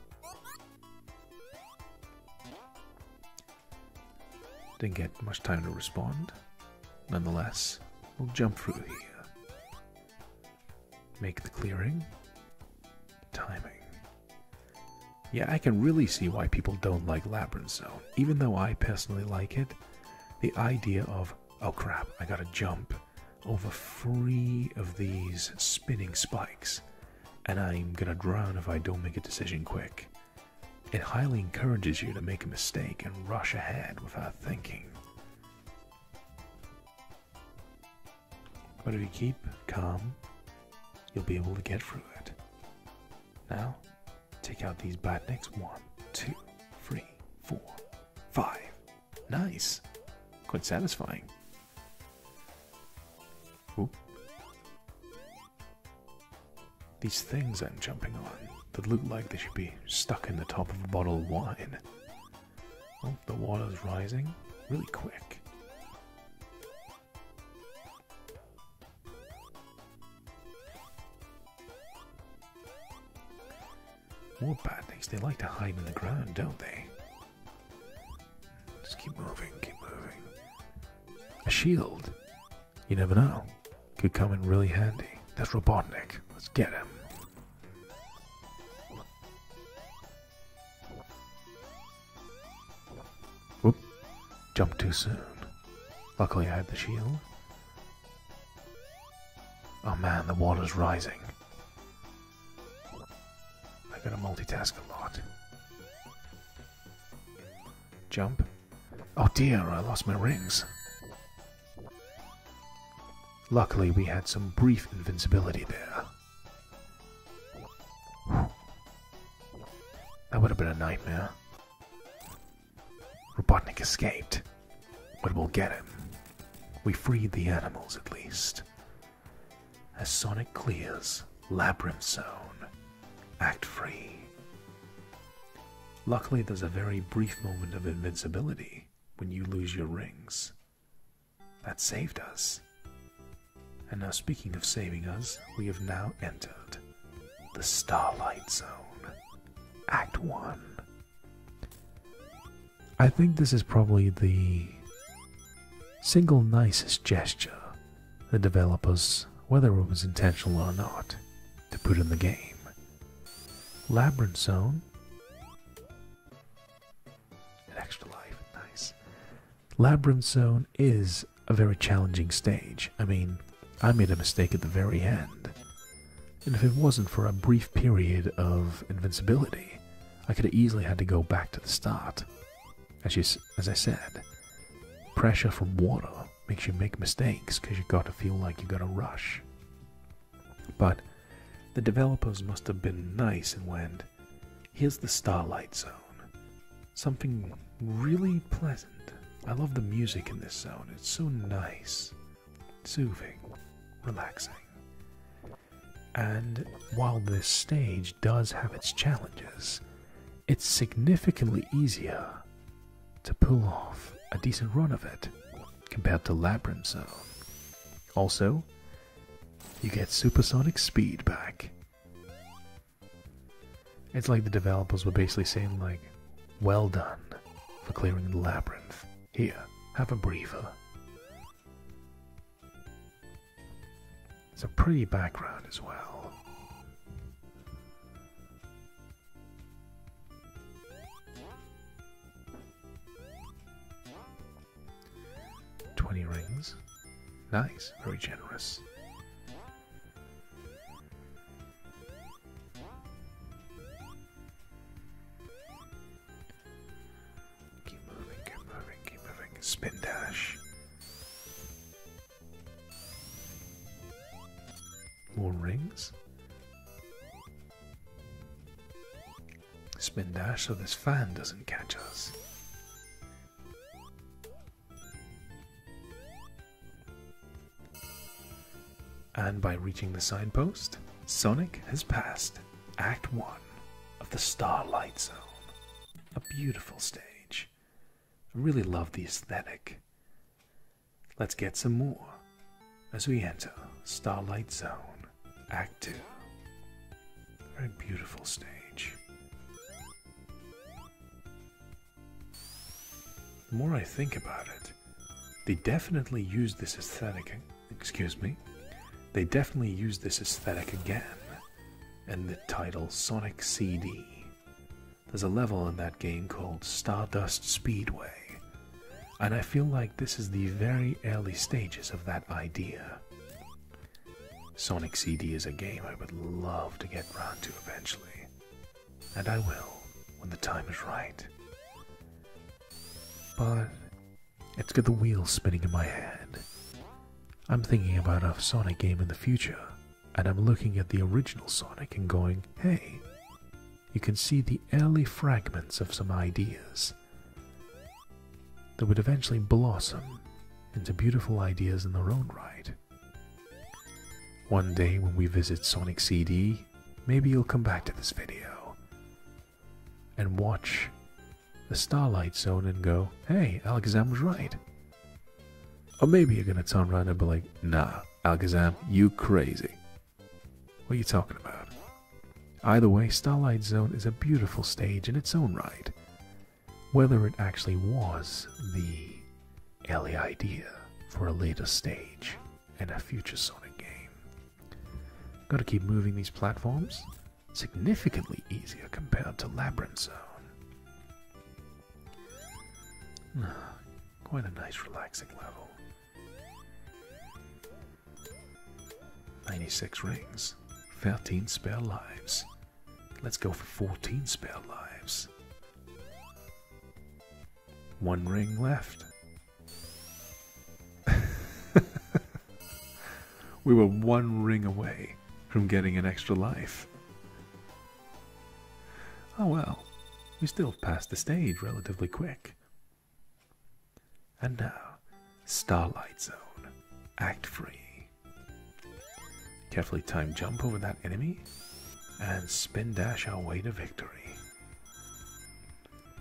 Didn't get much time to respond. Nonetheless, we'll jump through here. Make the clearing. Timing. Yeah, I can really see why people don't like labyrinths. Though, Even though I personally like it, the idea of, oh crap, I gotta jump over three of these spinning spikes, and I'm gonna drown if I don't make a decision quick. It highly encourages you to make a mistake and rush ahead without thinking. But if you keep calm, you'll be able to get through it. Now, take out these badniks. One, two, three, four, five. Nice. Quite satisfying. These things I'm jumping on that look like they should be stuck in the top of a bottle of wine. Oh, the water's rising really quick. More bad things. they like to hide in the ground, don't they? Just keep moving, keep moving. A shield? You never know could come in really handy. That's Robotnik. Let's get him. Whoop. Jump too soon. Luckily I had the shield. Oh man, the water's rising. I gotta multitask a lot. Jump. Oh dear, I lost my rings. Luckily, we had some brief invincibility there. That would have been a nightmare. Robotnik escaped, but we'll get him. We freed the animals at least. As Sonic clears Labyrinth Zone, Act Free. Luckily, there's a very brief moment of invincibility when you lose your rings. That saved us. And now, speaking of saving us, we have now entered the Starlight Zone, Act 1. I think this is probably the single nicest gesture the developers, whether it was intentional or not, to put in the game. Labyrinth Zone. extra life, nice. Labyrinth Zone is a very challenging stage. I mean, I made a mistake at the very end. And if it wasn't for a brief period of invincibility, I could have easily had to go back to the start. As, I said, pressure from water makes you make mistakes because you have got to feel like you have got to rush. But the developers must have been nice and went, here's the Starlight Zone. Something really pleasant. I love the music in this zone, it's so nice, soothing, relaxing. And while this stage does have its challenges, it's significantly easier to pull off a decent run of it compared to Labyrinth Zone. Also, you get supersonic speed back. It's like the developers were basically saying like, well done for clearing the labyrinth. Here, have a breather. It's a pretty background as well. 20 rings. Nice, very generous. Keep moving, keep moving, keep moving. Spin dash. More rings. Spin dash so this fan doesn't catch us. And by reaching the signpost, Sonic has passed Act 1 of the Starlight Zone. A beautiful stage. I really love the aesthetic. Let's get some more as we enter Starlight Zone Act 2. Very beautiful stage. The more I think about it, they definitely used this aesthetic. Excuse me. They definitely used this aesthetic again in the title Sonic CD. There's a level in that game called Stardust Speedway, and I feel like this is the very early stages of that idea. Sonic CD is a game I would love to get round to eventually. And I will, when the time is right. But it's got the wheels spinning in my head. I'm thinking about a Sonic game in the future, and I'm looking at the original Sonic and going, hey, you can see the early fragments of some ideas that would eventually blossom into beautiful ideas in their own right. One day when we visit Sonic CD, maybe you'll come back to this video and watch the Starlight Zone and go, hey, Alakazam was right. Or maybe you're gonna turn around and be like, nah, Alakazam, you crazy. What are you talking about? Either way, Starlight Zone is a beautiful stage in its own right. Whether it actually was the early idea for a later stage in a future Sonic game. Gotta keep moving these platforms. Significantly easier compared to Labyrinth Zone. Quite a nice relaxing level. 96 rings, 13 spare lives. Let's go for 14 spare lives. One ring left. we were one ring away from getting an extra life. Oh well, we still passed the stage relatively quick. And now, Starlight Zone, Act Free. Carefully time jump over that enemy and spin dash our way to victory.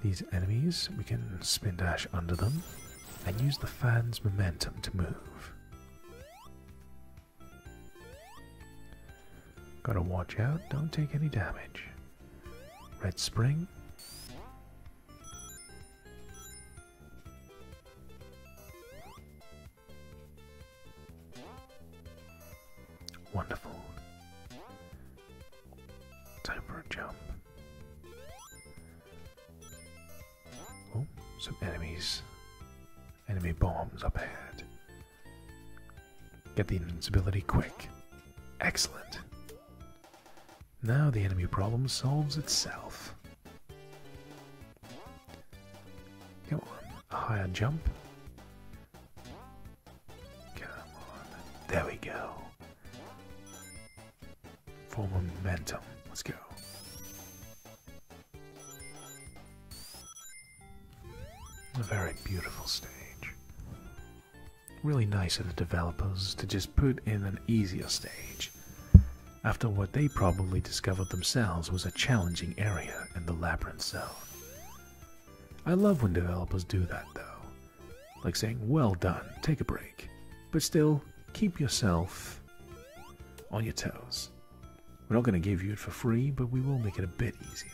These enemies, we can spin dash under them and use the fan's momentum to move. Gotta watch out, don't take any damage. Red Spring? Wonderful. Time for a jump. Oh, some enemies. Enemy bombs up ahead. Get the invincibility quick. Excellent. Now the enemy problem solves itself. Come on, a higher jump. Come on, there we go. For momentum, let's go. A very beautiful stage really nice of the developers to just put in an easier stage after what they probably discovered themselves was a challenging area in the labyrinth zone. I love when developers do that though, like saying, well done, take a break, but still keep yourself on your toes. We're not going to give you it for free, but we will make it a bit easier.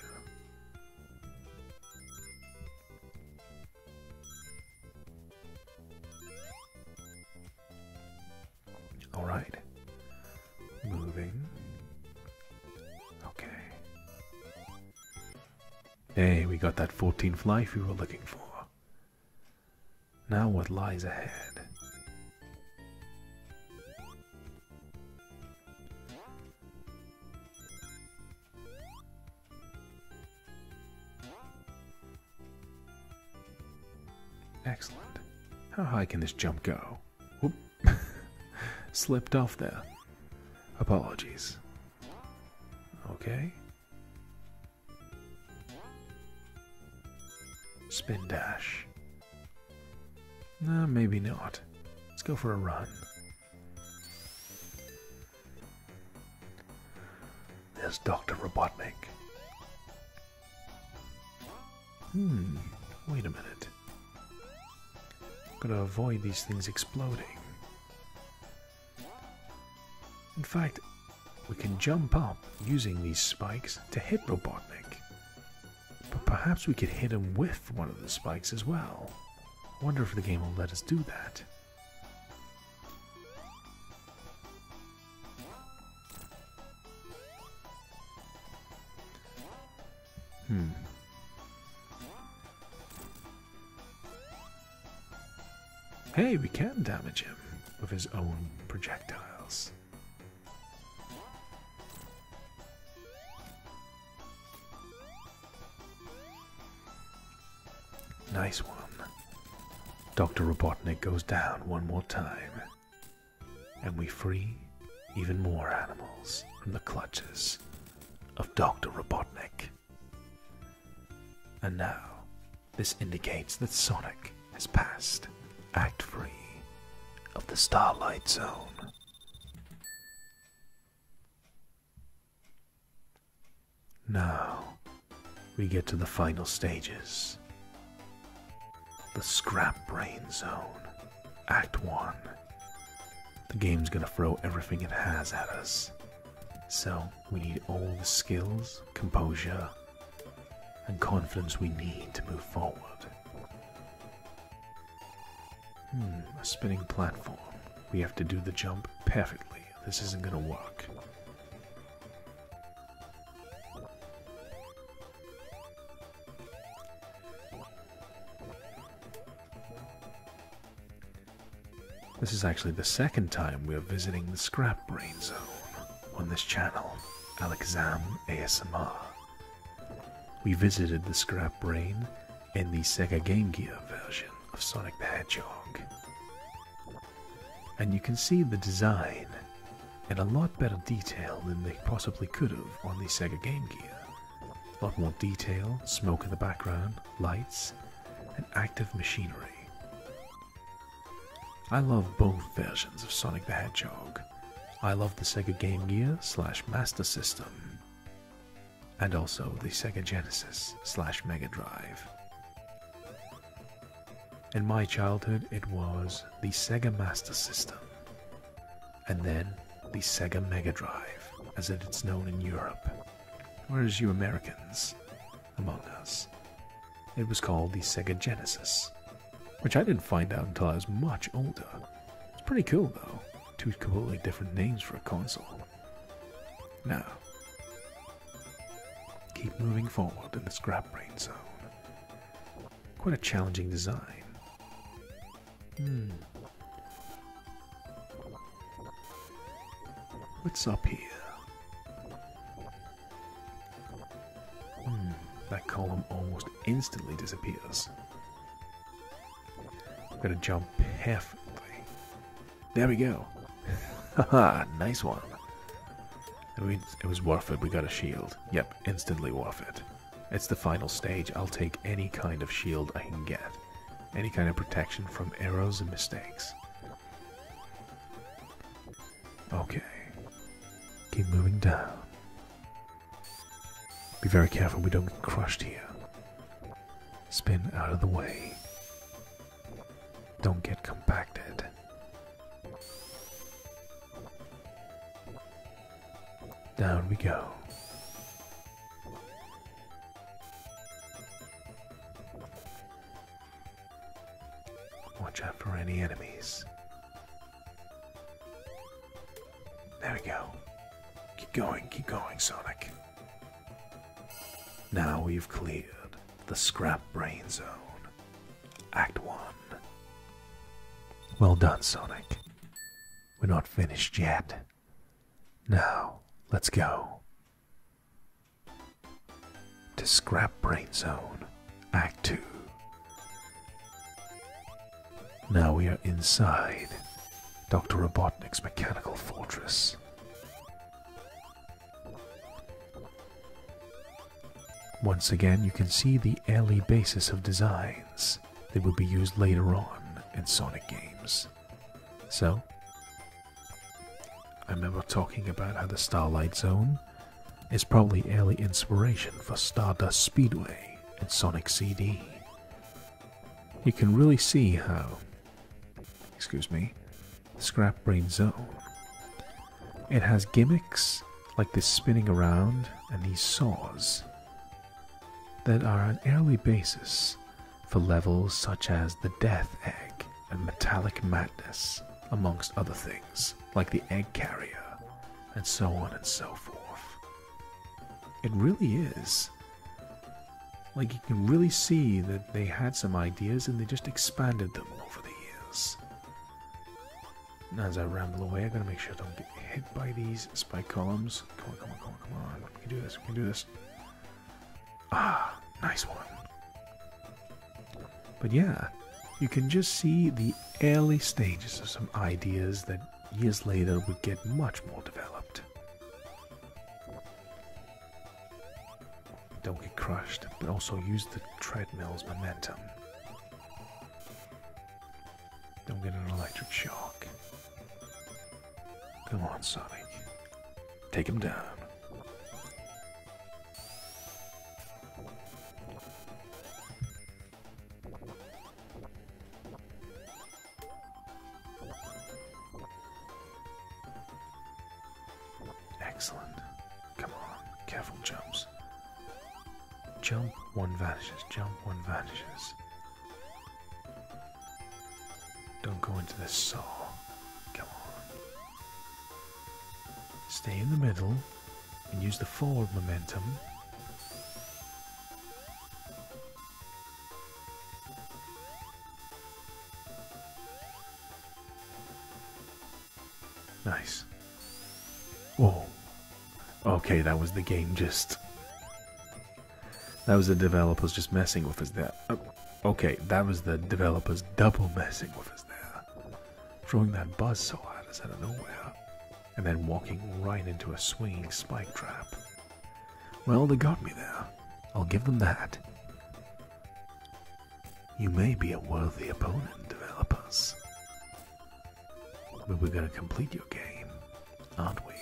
All right. Moving. Okay. Hey, we got that 14th life we were looking for. Now, what lies ahead? Excellent. How high can this jump go? Whoop. Slipped off there. Apologies. Okay. Spin dash. No, maybe not. Let's go for a run. There's Dr. Robotnik. Hmm, wait a minute. got to avoid these things exploding. In fact, we can jump up using these spikes to hit Robotnik. But perhaps we could hit him with one of the spikes as well. Wonder if the game will let us do that. Hmm. Hey, we can damage him with his own projectiles. Nice one. Dr. Robotnik goes down one more time, and we free even more animals from the clutches of Dr. Robotnik. And now, this indicates that Sonic has passed Act 3 of the Starlight Zone. Now we get to the final stages the Scrap Brain Zone, Act 1. The game's gonna throw everything it has at us. So we need all the skills, composure, and confidence we need to move forward. Hmm, a spinning platform. We have to do the jump perfectly. This isn't gonna work. This is actually the second time we are visiting the Scrap Brain Zone on this channel, Alexam ASMR. We visited the Scrap Brain in the Sega Game Gear version of Sonic the Hedgehog. And you can see the design in a lot better detail than they possibly could have on the Sega Game Gear. A lot more detail, smoke in the background, lights, and active machinery. I love both versions of Sonic the Hedgehog. I love the Sega Game Gear slash Master System and also the Sega Genesis slash Mega Drive. In my childhood, it was the Sega Master System, and then the Sega Mega Drive, as it is known in Europe, whereas you Americans, among us, it was called the Sega Genesis, which I didn't find out until I was much older. It's pretty cool though, two completely different names for a console. Now, keep moving forward in the scrap brain zone. Quite a challenging design. Hmm. What's up here? Hmm, that column almost instantly disappears. I'm gonna jump perfectly there we go. ha ha! nice one. it was worth it. We got a shield. Yep, instantly worth it. It's the final stage. I'll take any kind of shield I can get. Any kind of protection from arrows and mistakes. Okay. Keep moving down. Be very careful we don't get crushed here. Spin out of the way don't get compacted. Down we go. Watch out for any enemies. There we go. Keep going, keep going, Sonic. Now we've cleared the Scrap Brain Zone. Act 1. Well done, Sonic. We're not finished yet. Now, let's go. To Scrap Brain Zone, Act 2. Now we are inside Dr. Robotnik's mechanical fortress. Once again, you can see the early basis of designs that will be used later on in Sonic games. So, I remember talking about how the Starlight Zone is probably early inspiration for Stardust Speedway and Sonic CD. You can really see how, excuse me, Scrap Brain Zone. It has gimmicks like this spinning around and these saws that are an early basis for levels such as the Death Egg and Metallic Madness, amongst other things, like the Egg Carrier, and so on and so forth. It really is like you can really see that they had some ideas and they just expanded them over the years. As I ramble away, I gotta make sure I don't get hit by these spike columns. Come on, come on, come on, come on. We can do this, we can do this. Ah, nice one. But yeah, you can just see the early stages of some ideas that years later would get much more developed. Don't get crushed, but also use the treadmill's momentum. Don't get an electric shock. Come on, Sonic. Take him down. Excellent. Come on, careful jumps. Jump, one vanishes, jump, one vanishes. Don't go into the saw. Come on. Stay in the middle and use the forward momentum. Nice. Oh. Okay, that was the game just... That was the developers just messing with us there. Oh, okay, that was the developers double messing with us there. Throwing that buzz so hard us out of nowhere. And then walking right into a swinging spike trap. Well, they got me there. I'll give them that. You may be a worthy opponent, developers. But we're gonna complete your game, aren't we,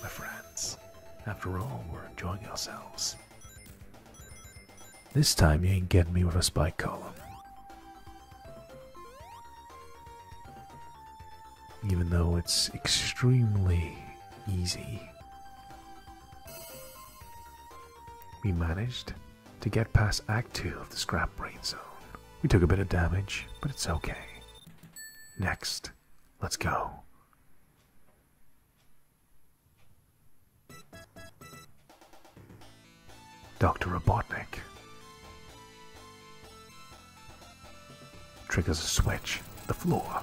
my friends? After all, we're enjoying ourselves. This time you ain't getting me with a spike column. Even though it's extremely easy we managed to get past Act 2 of the Scrap Brain Zone. We took a bit of damage, but it's okay. Next, let's go. Dr. Robotnik triggers a switch, the floor.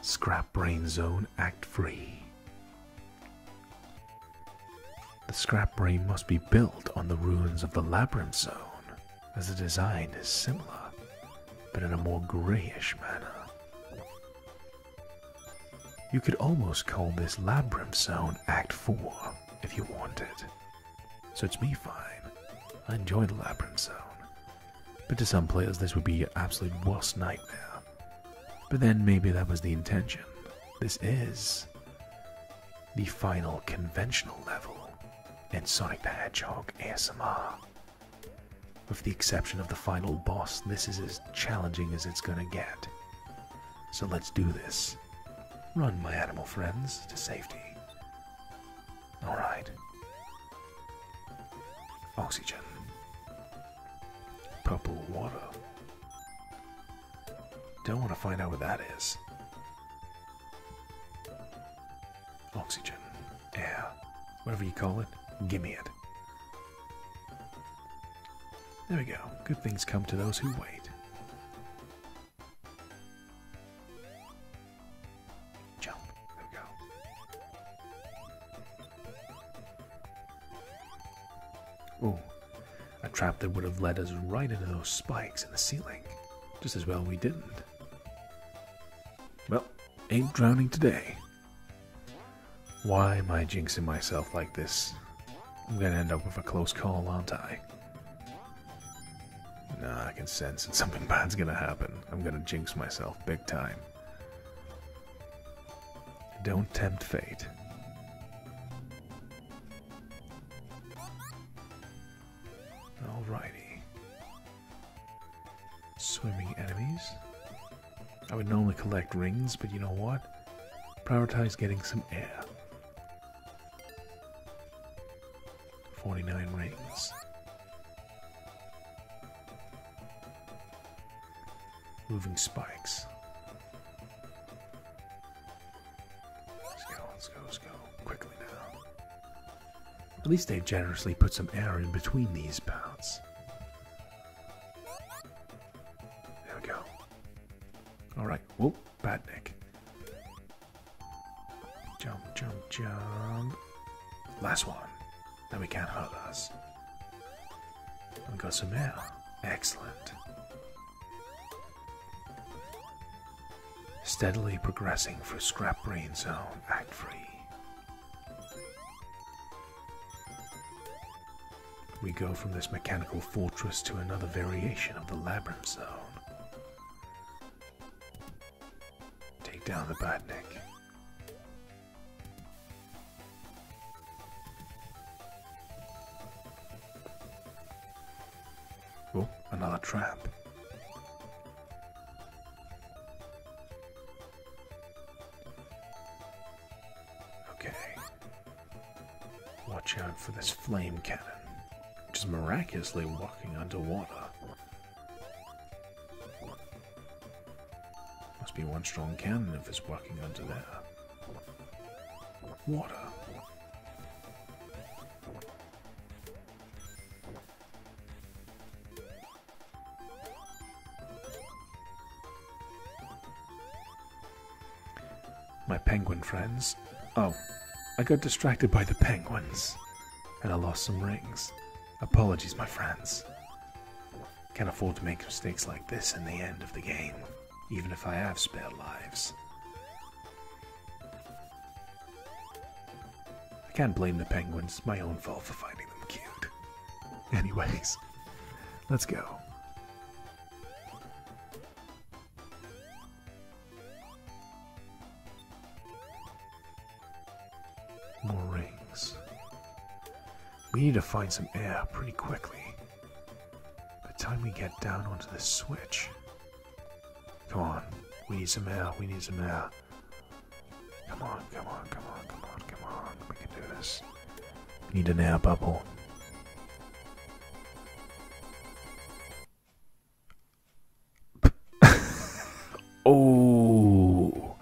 Scrap Brain Zone Act Free. The Scrap Brain must be built on the ruins of the Labyrinth Zone, as the design is similar, but in a more grayish manner. You could almost call this Labyrinth Zone Act 4 if you wanted. So it's me fine. I enjoy the Labyrinth Zone. But to some players, this would be your absolute worst nightmare. But then maybe that was the intention. This is the final conventional level in Sonic the Hedgehog ASMR. With the exception of the final boss, this is as challenging as it's gonna get. So let's do this. Run, my animal friends, to safety. Alright. Oxygen. Purple water. Don't want to find out what that is. Oxygen. Air. Whatever you call it, gimme it. There we go. Good things come to those who wait. Jump. There we go. Ooh, a trap that would have led us right into those spikes in the ceiling. Just as well we didn't. Well, ain't drowning today. Why am I jinxing myself like this? I'm gonna end up with a close call, aren't I? Nah, I can sense that something bad's gonna happen. I'm gonna jinx myself big time. Don't tempt fate. Alrighty. Swimming enemies. I would normally collect rings, but you know what? Prioritize getting some air. 49 rings. Moving spikes. Let's go, let's go, let's go. Quickly now. At least they've generously put some air in between these paths. There we go. Alright, whoa, bad neck. Jump, jump, jump. Last one then we can't hurt us. And go some air. Excellent. Steadily progressing through Scrap Brain Zone, Act 3. We go from this mechanical fortress to another variation of the Labyrinth Zone. Take down the badnik. Oh, another trap. Okay. Watch out for this flame cannon, which is miraculously walking underwater. Must be one strong cannon if it's working under there. Water. My penguin friends. Oh, I got distracted by the penguins. And I lost some rings. Apologies, my friends. Can't afford to make mistakes like this in the end of the game, even if I have spare lives. I can't blame the penguins, my own fault for finding them cute. Anyways, let's go. More rings. We need to find some air pretty quickly. By the time we get down onto the switch. Come on. We need some air. We need some air. Come on, come on, come on, come on, come on. We can do this. We need an air bubble. oh.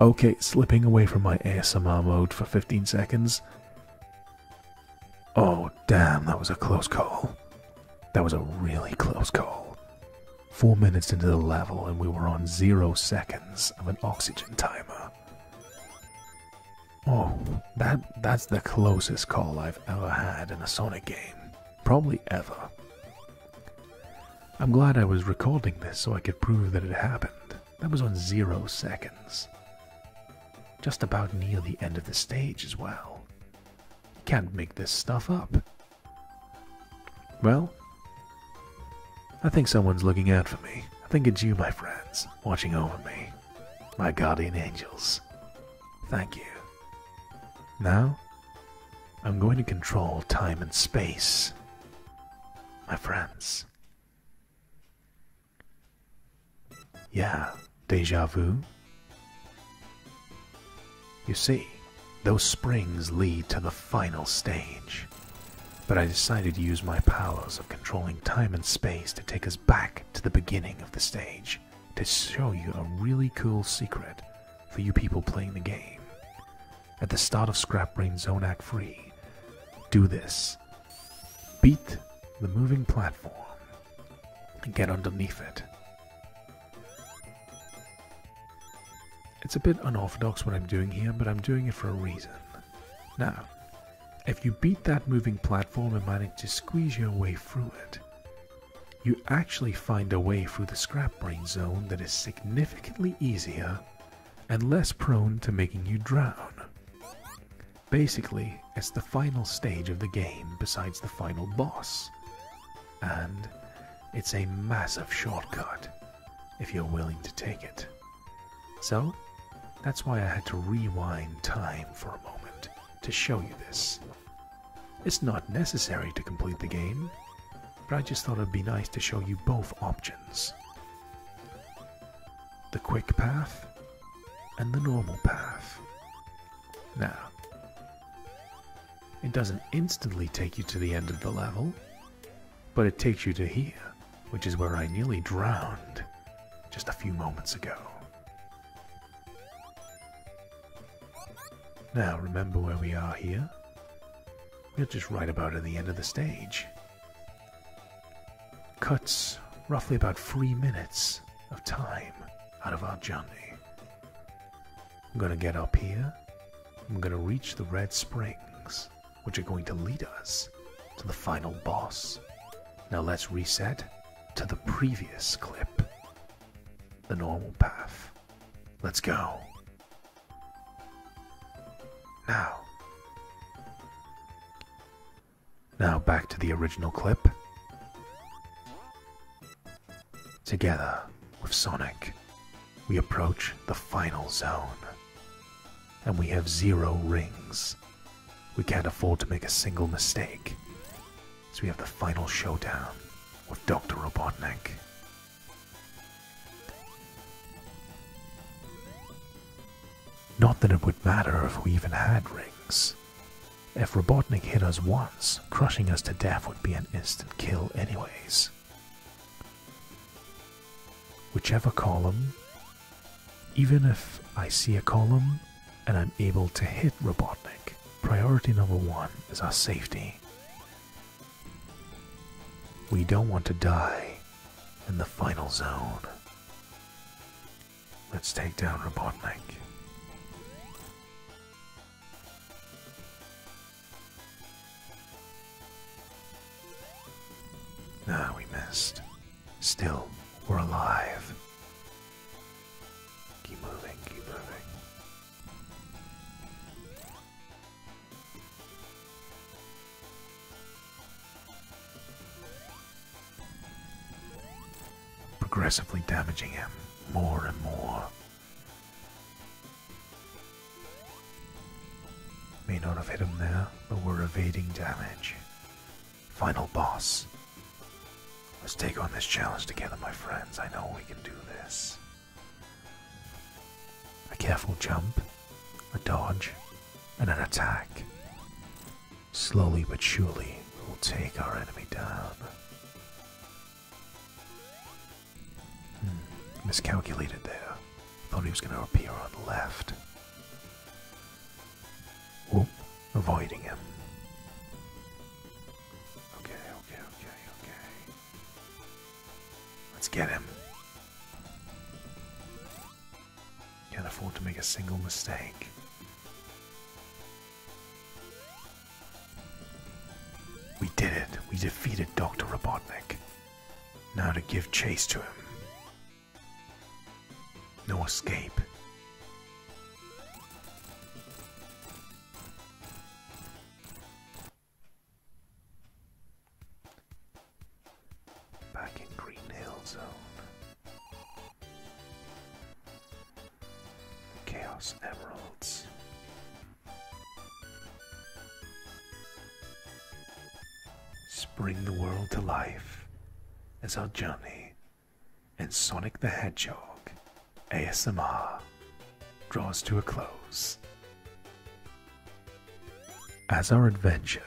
Okay, slipping away from my ASMR mode for 15 seconds. Oh, damn, that was a close call. That was a really close call. Four minutes into the level, and we were on zero seconds of an oxygen timer. Oh, that that's the closest call I've ever had in a Sonic game. Probably ever. I'm glad I was recording this so I could prove that it happened. That was on zero seconds. Just about near the end of the stage as well. Can't make this stuff up. Well, I think someone's looking out for me. I think it's you, my friends, watching over me. My guardian angels. Thank you. Now, I'm going to control time and space. My friends. Yeah, deja vu. You see, those springs lead to the final stage. But I decided to use my powers of controlling time and space to take us back to the beginning of the stage to show you a really cool secret for you people playing the game at the start of Scrap Brain Zone Act Free. Do this. Beat the moving platform and get underneath it. It's a bit unorthodox what I'm doing here, but I'm doing it for a reason. Now, if you beat that moving platform and manage to squeeze your way through it, you actually find a way through the scrap brain zone that is significantly easier and less prone to making you drown. Basically, it's the final stage of the game besides the final boss, and it's a massive shortcut if you're willing to take it. So, that's why I had to rewind time for a moment to show you this. It's not necessary to complete the game, but I just thought it'd be nice to show you both options the quick path and the normal path. Now, it doesn't instantly take you to the end of the level, but it takes you to here, which is where I nearly drowned just a few moments ago. Now, remember where we are here? We're just right about at the end of the stage cuts roughly about three minutes of time out of our journey. I'm gonna get up here. I'm gonna reach the Red Springs, which are going to lead us to the final boss. Now let's reset to the previous clip, the normal path. Let's go. Now. Now back to the original clip. Together with Sonic, we approach the final zone. And we have zero rings. We can't afford to make a single mistake. So we have the final showdown with Dr. Robotnik. Not that it would matter if we even had rings. If Robotnik hit us once, crushing us to death would be an instant kill anyways. Whichever column, even if I see a column and I'm able to hit Robotnik, priority number one is our safety. We don't want to die in the final zone. Let's take down Robotnik. Ah, we missed. Still, we're alive. Keep moving, keep moving. Progressively damaging him more and more. May not have hit him there, but we're evading damage. Final boss. Let's take on this challenge together, my friends. I know we can do this. A careful jump a dodge, and an attack. Slowly but surely, we'll take our enemy down. Hmm, miscalculated there. Thought he was going to appear on the left. Whoop, avoiding him. Okay, okay, okay, okay. Let's get him. Can't afford to make a single mistake. We did it. We defeated Dr. Robotnik. Now to give chase to him. No escape. Back in Green Hill Zone. Chaos Emeralds. Spring the world to life as our journey and Sonic the Hedgehog ASMR draws to a close. As our adventure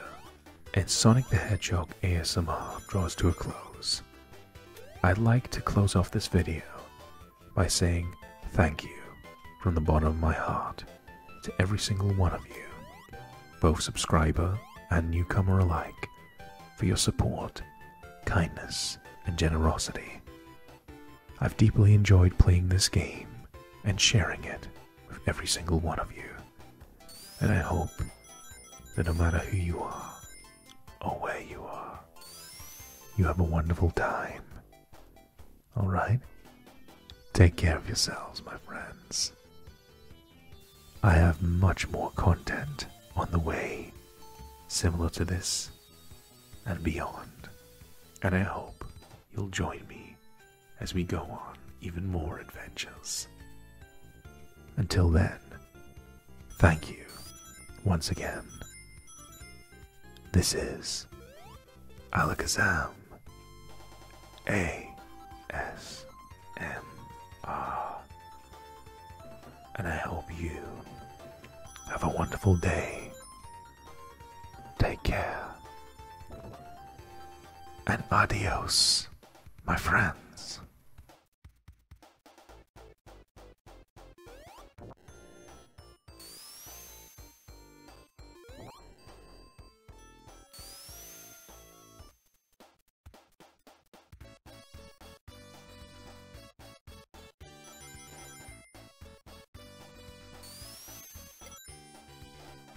and Sonic the Hedgehog ASMR draws to a close, I'd like to close off this video by saying thank you from the bottom of my heart to every single one of you, both subscriber and newcomer alike, for your support, kindness, and generosity. I've deeply enjoyed playing this game and sharing it with every single one of you. And I hope that no matter who you are or where you are, you have a wonderful time. Alright? Take care of yourselves, my friends. I have much more content on the way, similar to this and beyond, and I hope you'll join me as we go on even more adventures. Until then, thank you once again. This is Alakazam A S M R, and I hope you have a wonderful day. Take care. And adios, my friends.